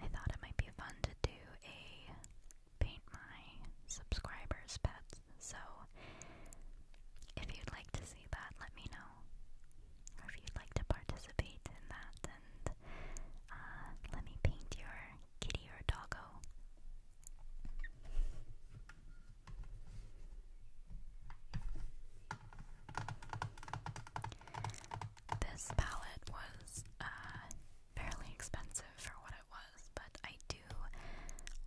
I thought it might be fun to do a paint my subscribers' pets, so if you'd like to see that, let me know. if you'd like to participate in that and uh, let me paint your kitty or doggo. This palette was uh, fairly expensive for what it was, but I do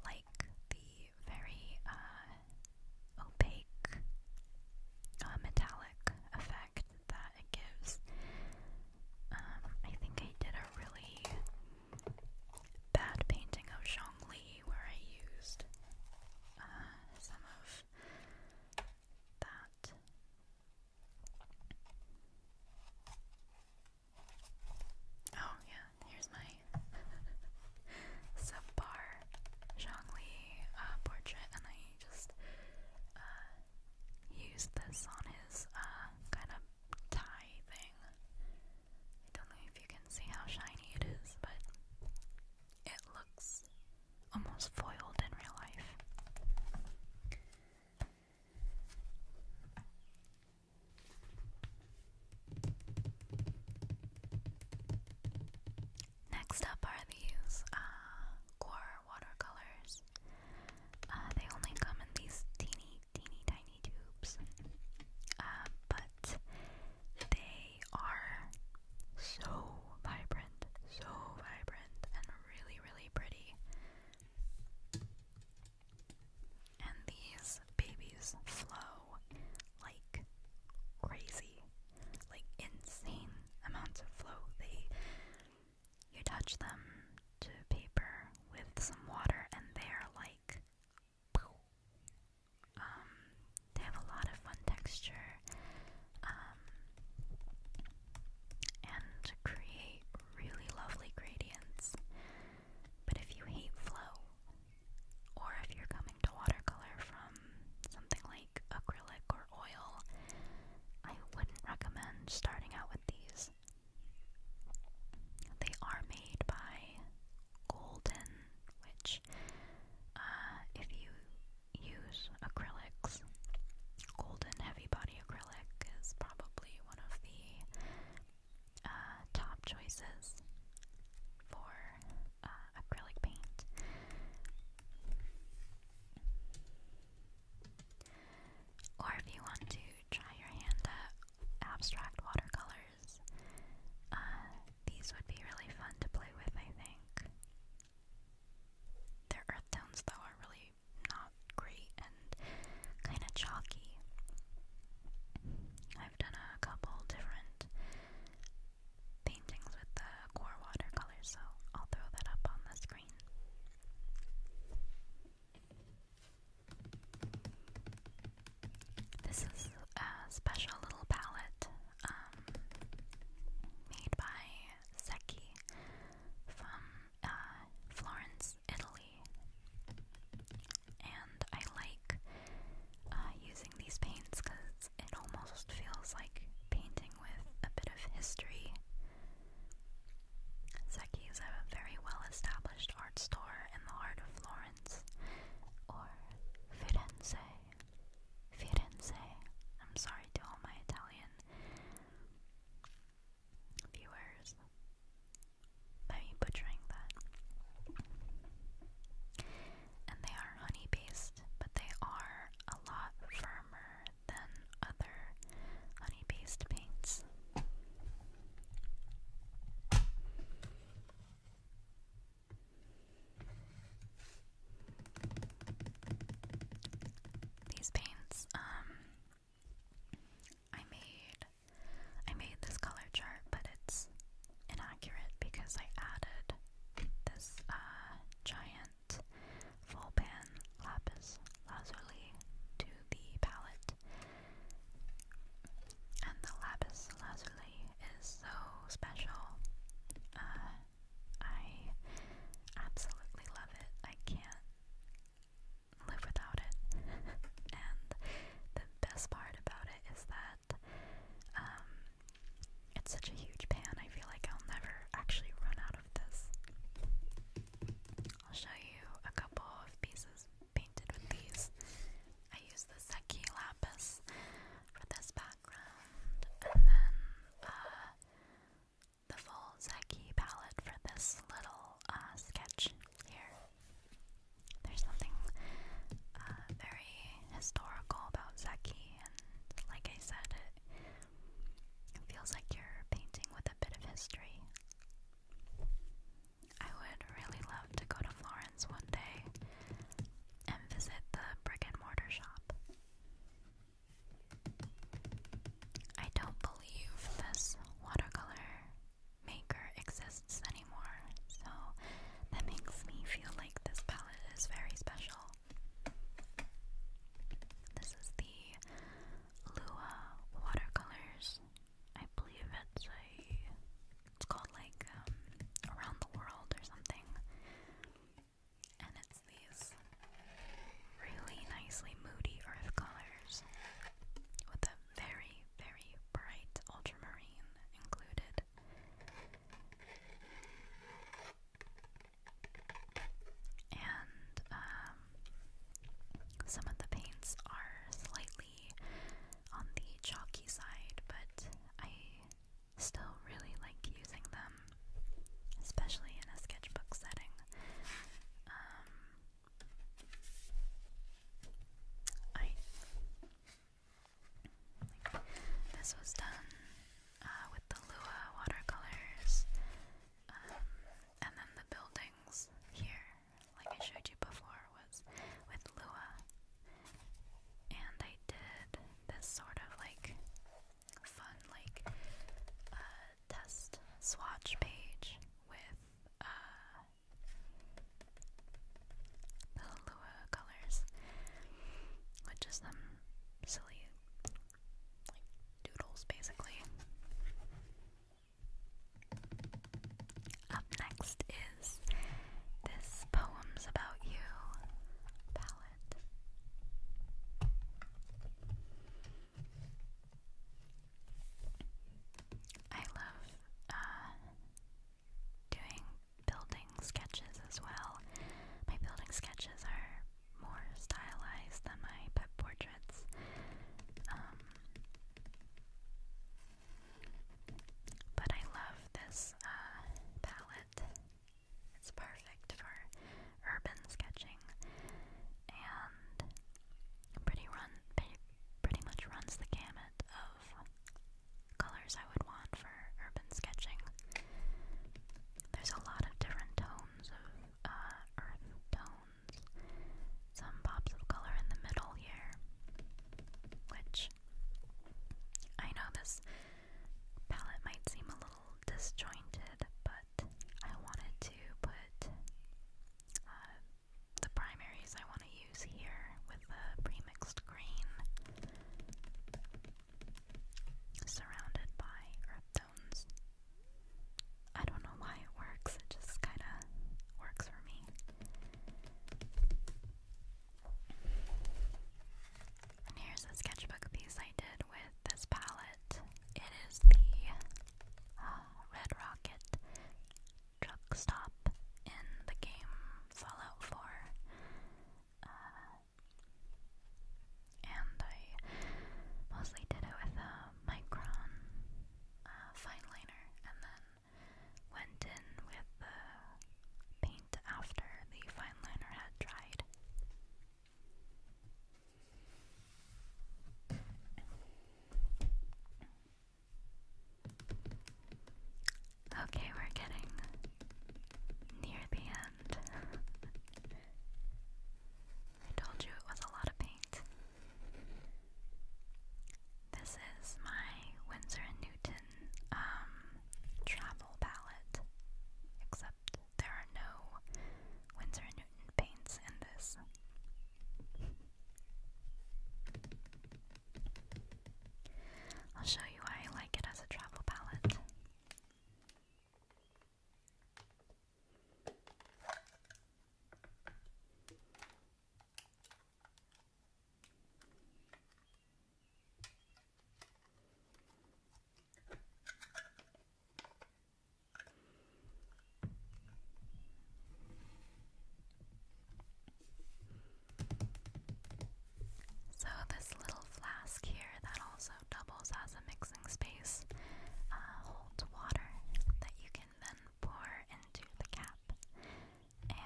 like the very uh, opaque uh, metallic effect that it gives. Um, I think I did a really bad painting of Zhongli where I used uh, some of that. Oh yeah, here's my <laughs> subpar Zhongli uh, portrait, and I just uh, used this on his uh, kind of tie thing. I don't know if you can see how shiny it is, but it looks almost foiled in real life. Next up are these uh, watercolors. Uh, they only come in these teeny, teeny, tiny tubes. Uh, but they are so vibrant, so vibrant, and really, really pretty. And these babies flow like crazy, like insane amounts of flow. They you touch them to paper with some water, and they are like. Um, they have a lot of fun texture um, and create really lovely gradients. But if you hate flow, or if you're coming to watercolor from something like acrylic or oil, I wouldn't recommend starting out with these. They are made by Golden, which, uh, if you use acrylics, Golden Heavy Body Acrylic is probably one of the uh, top choices for uh, acrylic paint. Or if you want to try your hand at abstract watercolors, uh, these would be really fun to play with, I think. Their earth tones, though, are really not great and kind of chalky. I've done a couple different paintings with the core watercolors, so I'll throw that up on the screen. This is a special little palette um, made by Secchi from uh, Florence, Italy. And I like uh, using these paints because it almost feels like painting with a bit of history. Secchi's have a very well-established art store in the heart of Florence, or Firenze. Firenze. I'm sorry to all my Italian viewers by me butchering that. And they are honey-based, but they are a lot firmer than other honey based paints. These paints, um, I made I made this color chart, but it's inaccurate because I added this uh, giant full pan lapis lazuli to the palette. And the lapis lazuli is so special. Uh, I absolutely love it. I can't live without it. <laughs> and the best part about it is that um, it's such a huge pan, I feel like I'll never actually run out of this. I'll show you a couple of pieces painted with these. I use the Seki lapis for this background, and then uh, the full Seki palette for this little uh, sketch here. There's something uh, very historical about Seki, and like I said, it feels like you're painting with a bit of history. I would really love to go to Florence one day and visit the brick and mortar shop. I don't believe this watercolor maker exists anymore, so that makes me feel like this palette is very special. This is the Lua watercolors I believe it's a it's called like um, around the world or something. And it's these really nicely moody earth colors with a very, very bright ultramarine included. And um, some of the paints are slightly on the chalky side, but I still really like using them, especially in a sketchbook setting. Um, this was done uh, with the Lua watercolors, um, and then the buildings here like I showed you before, was with Lua. And I did this sort of like fun, like, uh, test swatch page with, uh, the Lua colors, which is some silly, like, doodles basically. Up next is this Poems About You palette. I love uh, doing building sketches as well. My building sketches are more stylized than my pet portraits. Um, but I love this uh, palette. It's perfect for urban sketching and pretty run pretty much runs the gamut of colors I would want for urban sketching. There's a lot of different tones of uh, earth tone some pops of color in the middle here. Which I know this palette might seem a little disjointed, but I wanted to put uh, the primaries I want to use here with the premixed green surrounded by earth tones. I don't know why it works, it just kind of works for me. And here's a sketchbook piece I did with this palette. It is the uh, Red Rocket truck stop in the game Fallout 4. Uh, and I mostly did it with um, micron uh, fine liner and then went in with the paint after the fine liner had dried. Okay, we're getting near the end. <laughs> I told you it was a lot of paint. This is my Winsor & Newton um, travel palette, except there are no Winsor & Newton paints in this. I'll show you why I like it as a travel palette. So, this little flask here that also doubles as a mixing space uh, holds water that you can then pour into the cap. And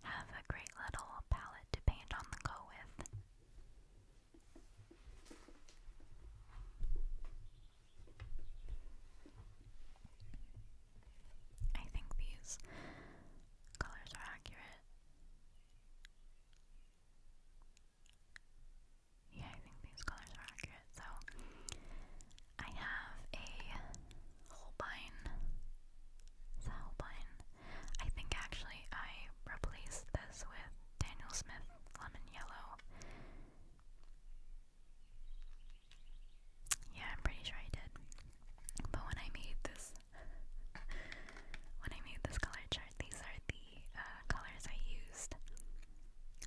have a great little palette to paint on the go with. I think these colors are accurate. Yeah, I think these colors are accurate. So I have a Holbein. It's I think actually I replaced this with Daniel Smith Lemon Yellow. Yeah, I'm pretty sure I did. But when I made this <laughs> when I made this color chart, these are the uh, colors I used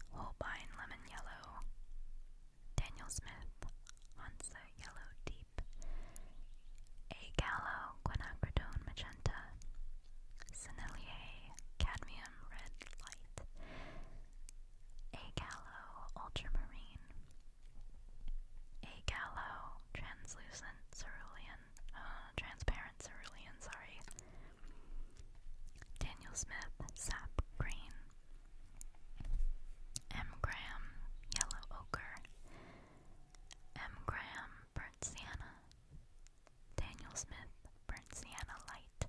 Holbein Lemon Yellow, Daniel Smith, Hansa Yellow Deep, A. Quinacridone Magenta, Sennelier Cadmium Red Light, A. Ultramarine, A. Translucent Cerulean, uh, Transparent Cerulean, sorry. Daniel Smith, sap green. M. Graham, yellow ochre. M. Graham, burnt sienna. Daniel Smith, burnt sienna light.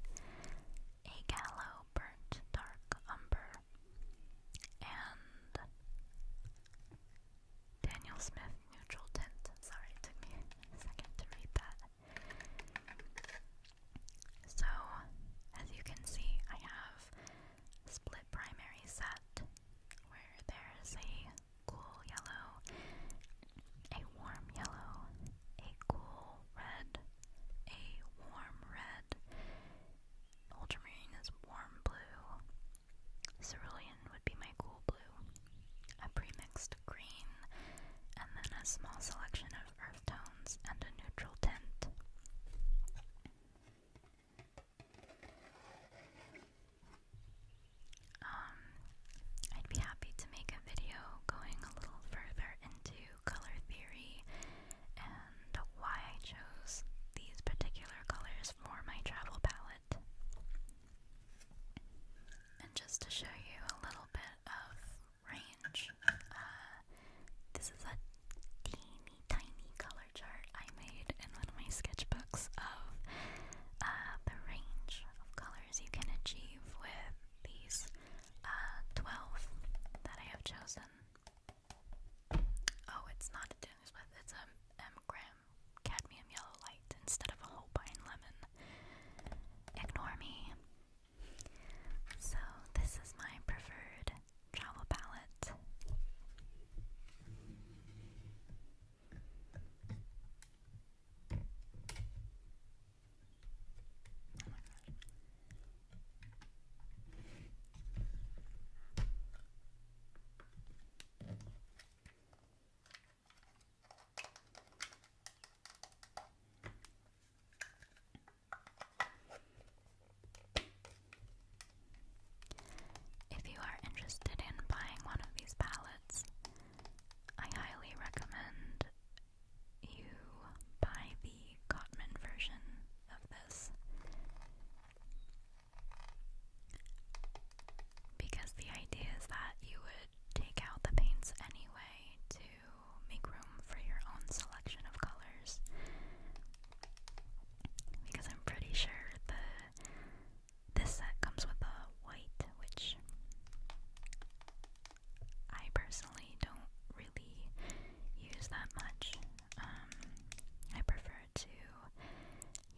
A. Gallo, burnt dark umber. And Daniel Smith, neutral tint. Sorry, it me second to read that. So, as you can see, I have a split primary set where there's a cool yellow, a warm yellow, a cool red, a warm red, ultramarine is warm blue, cerulean would be my cool blue, a premixed green, and then a small selection of earth tones and a neutral tint. Um, I'd be happy to make a video going a little further into color theory and why I chose these particular colors for my travel palette. And just to show you a little bit of range. Uh, this is a teeny tiny color chart I made in one of my sketchbooks of uh, the range of colors you can achieve with these uh, 12 that I have chosen. Oh, it's not a Dingsmith, it's a Mgram cadmium yellow light instead of a Holbein lemon. Ignore me. So, this is my preferred travel palette. If you are interested in buying one of these palettes, I highly recommend you buy the Gottman version of this because the idea is that you would take out the paints anyway to make room for your own selection of colors. Because I'm pretty sure the this set comes with a white, which I personally don't really use that much. Um, I prefer to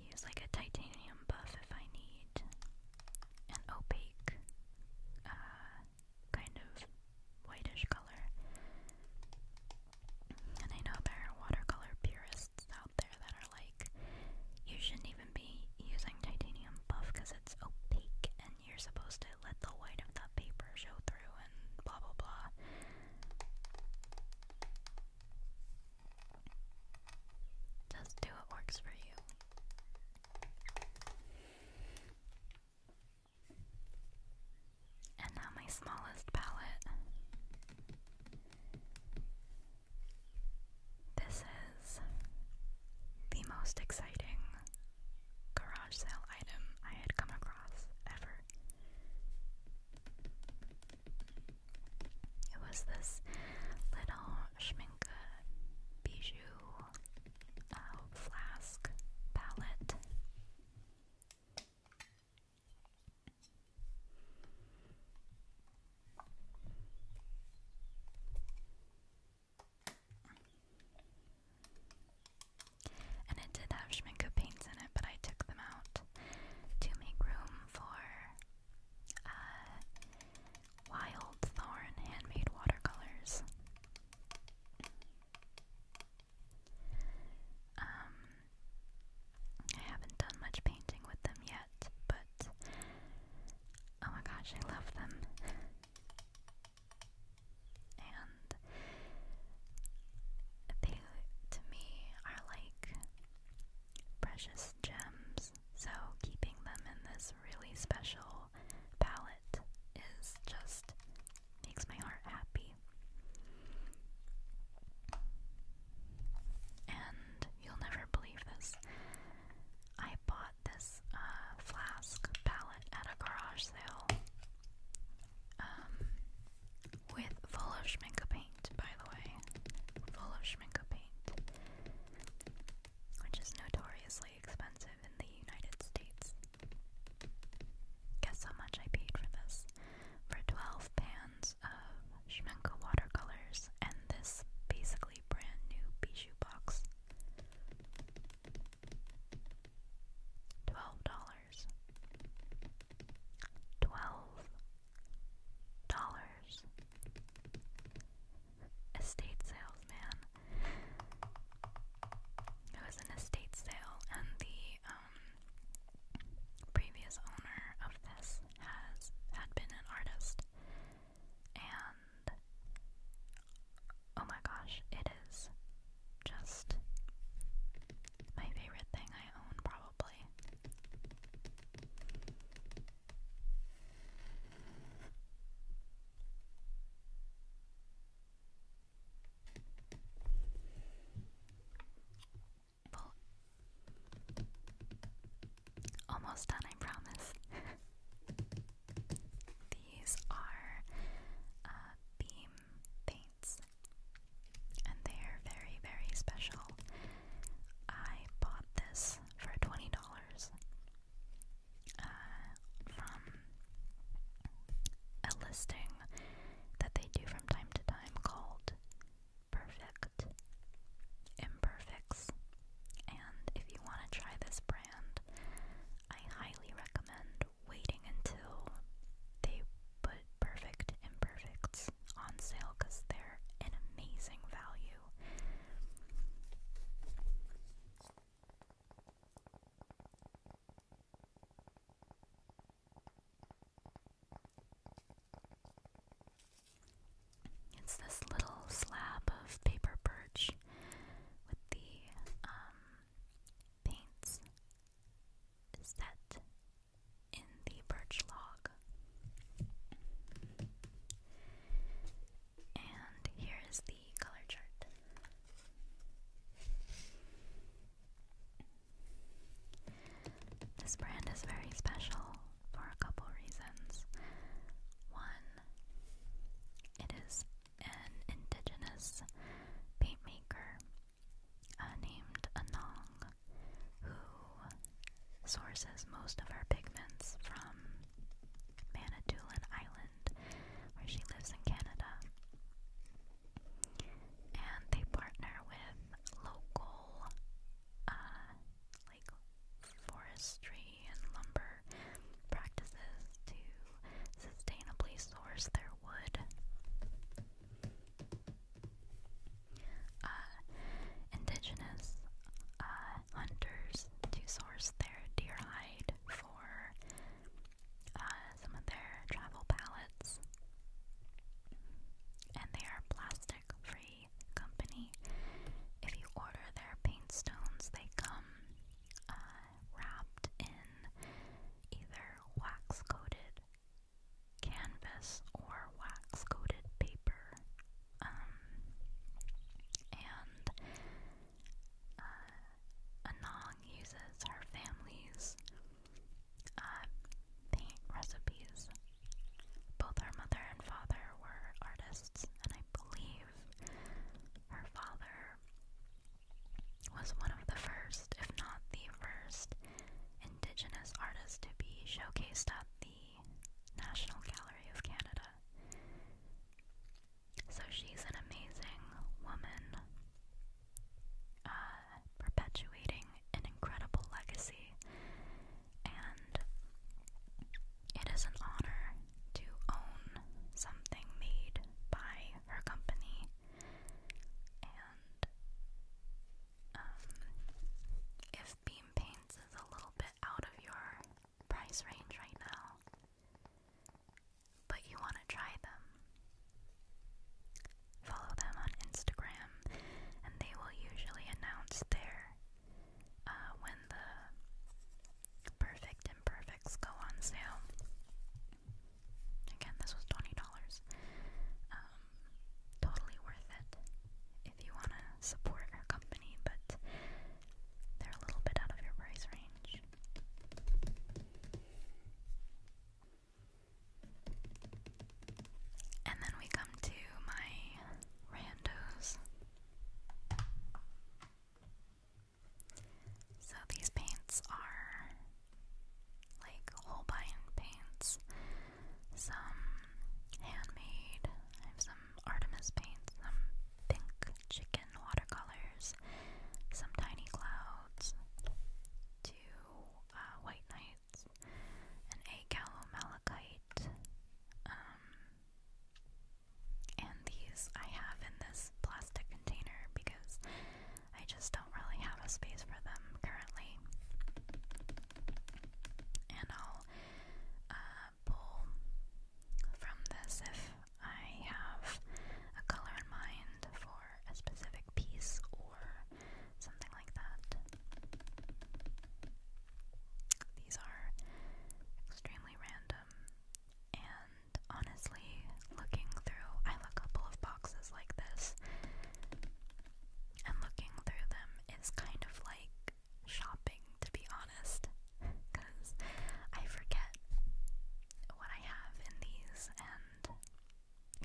use like a titanium buff if I need an opaque uh, kind of whitish color. And I know there are watercolor purists out there that are like, you shouldn't even be using titanium buff because it's opaque and you're supposed to let the white of the paper show through and blah blah blah. Just do what works for you. And now my smallest palette. This is the most exciting garage sale item I had come across ever. It was this little Schmincke bijou uh, flask palette. And it did have Schmincke paints in it, but I took them out to make room for uh, Wild Thorn Handmade Watercolors. Um, I haven't done much painting with them yet, but oh my gosh, I love them. and they, to me, are like precious gems, so keeping them in this really special palette is just makes my heart happy. And you'll never believe this. I bought this uh, flask palette at a garage sale um, with full of Schmincke paint, by the way. Full of Schmincke paint which is notoriously expensive in the United States. Guess how much I paid for this? For 12 pans of Schmenko watercolors and this basically brand new Bijou box. $12. $12. Estate sales, it was an estate sale, and the um, previous owner of this has had been an artist. And oh my gosh, it is just my favorite thing I own, probably almost done, I promise. <laughs> These are uh, beam paints, and they are very, very special. I bought this for $20 uh, from a listing that they do from time to time called Perfect Imperfects. And if you want to try this brand, I highly recommend waiting until they put Perfect Imperfects on sale because they're an amazing value. It's this little slab of paper birch with the um, paints set in the birch log. And here is the color chart. This brand is very special for a couple reasons. One, it is an indigenous paint maker uh, named Anong who sources most of her pigments from Manitoulin Island where she lives in Canada. And they partner with local, uh, like forestry and lumber practices to sustainably source their wood. Uh, indigenous uh, hunters to source their deer hide for uh, some of their travel pallets. And they are plastic free company. If you order their paint stones, they come uh, wrapped in either wax coated canvas or wax coated paper. Um, and uh, Anong uses her family's uh, paint recipes. Both her mother and father were artists, and I believe her father was one of the first, if not the first, indigenous artist to be showcased at the National Gallery of Canada. So she's an amazing woman, uh, perpetuating an incredible legacy, and it is an honor to own something made by her company. And um, if beam paints is a little bit out of your price range right now, but you want to try them. Follow them on Instagram, and they will usually announce their uh, when the perfect imperfects go on sale. Again, this was twenty dollars. Um, totally worth it if you want to support our company, but they're a little bit out of your price range. And then we come to my randos. So these paints are like Holbein paints, some handmade, I have some Artemis paints, pink chicken watercolors, some tiny clouds, two uh, white knights, an agalo malachite, um, and these I have in this plastic container because I just don't really have a space for them currently. And I'll uh, pull from this if I have a color in mind for a specific piece or something like that. These are extremely random, and honestly, looking through, I have a couple of boxes like this, and looking through them is kind of like shopping, to be honest, because I forget what I have in these, and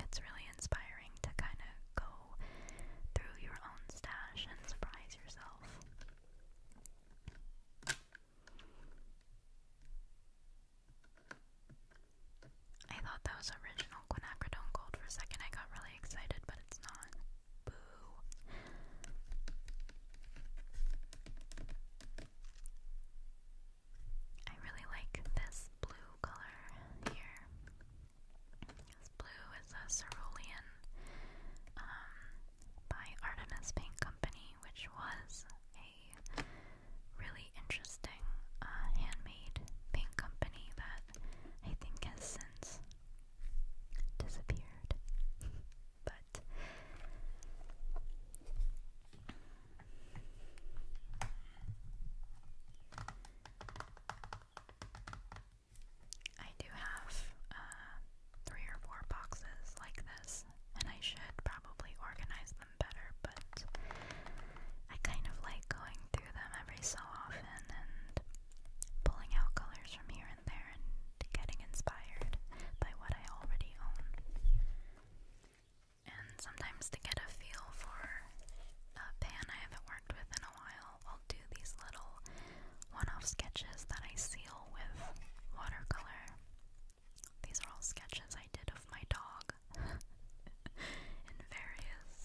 it's really inspiring to kind of go through your own stash and surprise yourself. I thought that was original quinacridone gold for a second. I got really excited, but it's not. Boo. I really like this blue color here. This blue is a cerulean um, by Artemis Paint Company, which was a really interesting uh, handmade paint company that I think has since disappeared. <laughs> but I do have uh, three or four boxes like this, and I should probably organize them better, but I kind of like going through them every so often and pulling out colors from here and there and getting inspired by what I already own. And sometimes to get a feel for a pan I haven't worked with in a while, I'll do these little one off sketches that I seal with watercolor. These are all sketches I did of my dog <laughs> in various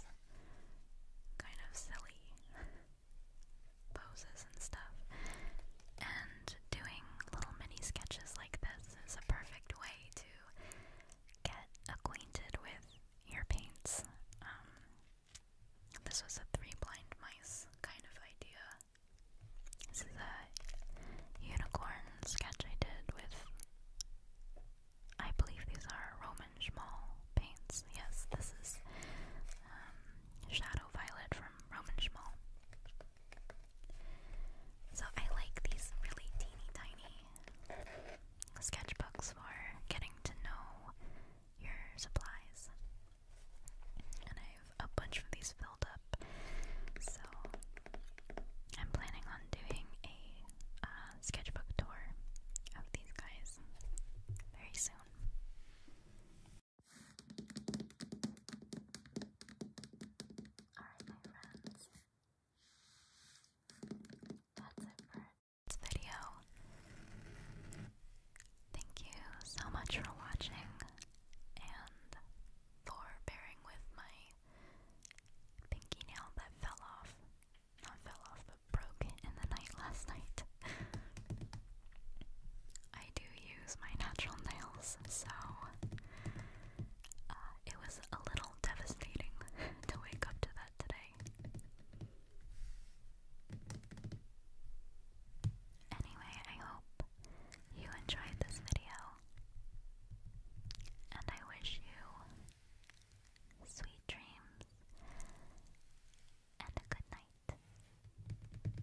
kind of silly poses and stuff. And doing little mini sketches like this is a perfect way to get acquainted with your paints. Um, this was a three blind mice kind of idea. This is a unicorn sketch I did with. I believe these are Roman Schmal paints. Yes, this is um, Shadow Violet from Roman Schmal. So I like these really teeny tiny sketchbooks for getting to know your supplies. And I have a bunch of these filled up. So I'm planning on doing a uh, sketchbook tour of these guys very soon. Alright, my friends. That's it for this video. Thank you so much for watching and for bearing with my pinky nail that fell off. Not fell off, but broke in the night last night. I do use my natural nails, so uh, it was a little devastating <laughs> to wake up to that today. Anyway, I hope you enjoyed this video, and I wish you sweet dreams and a good night.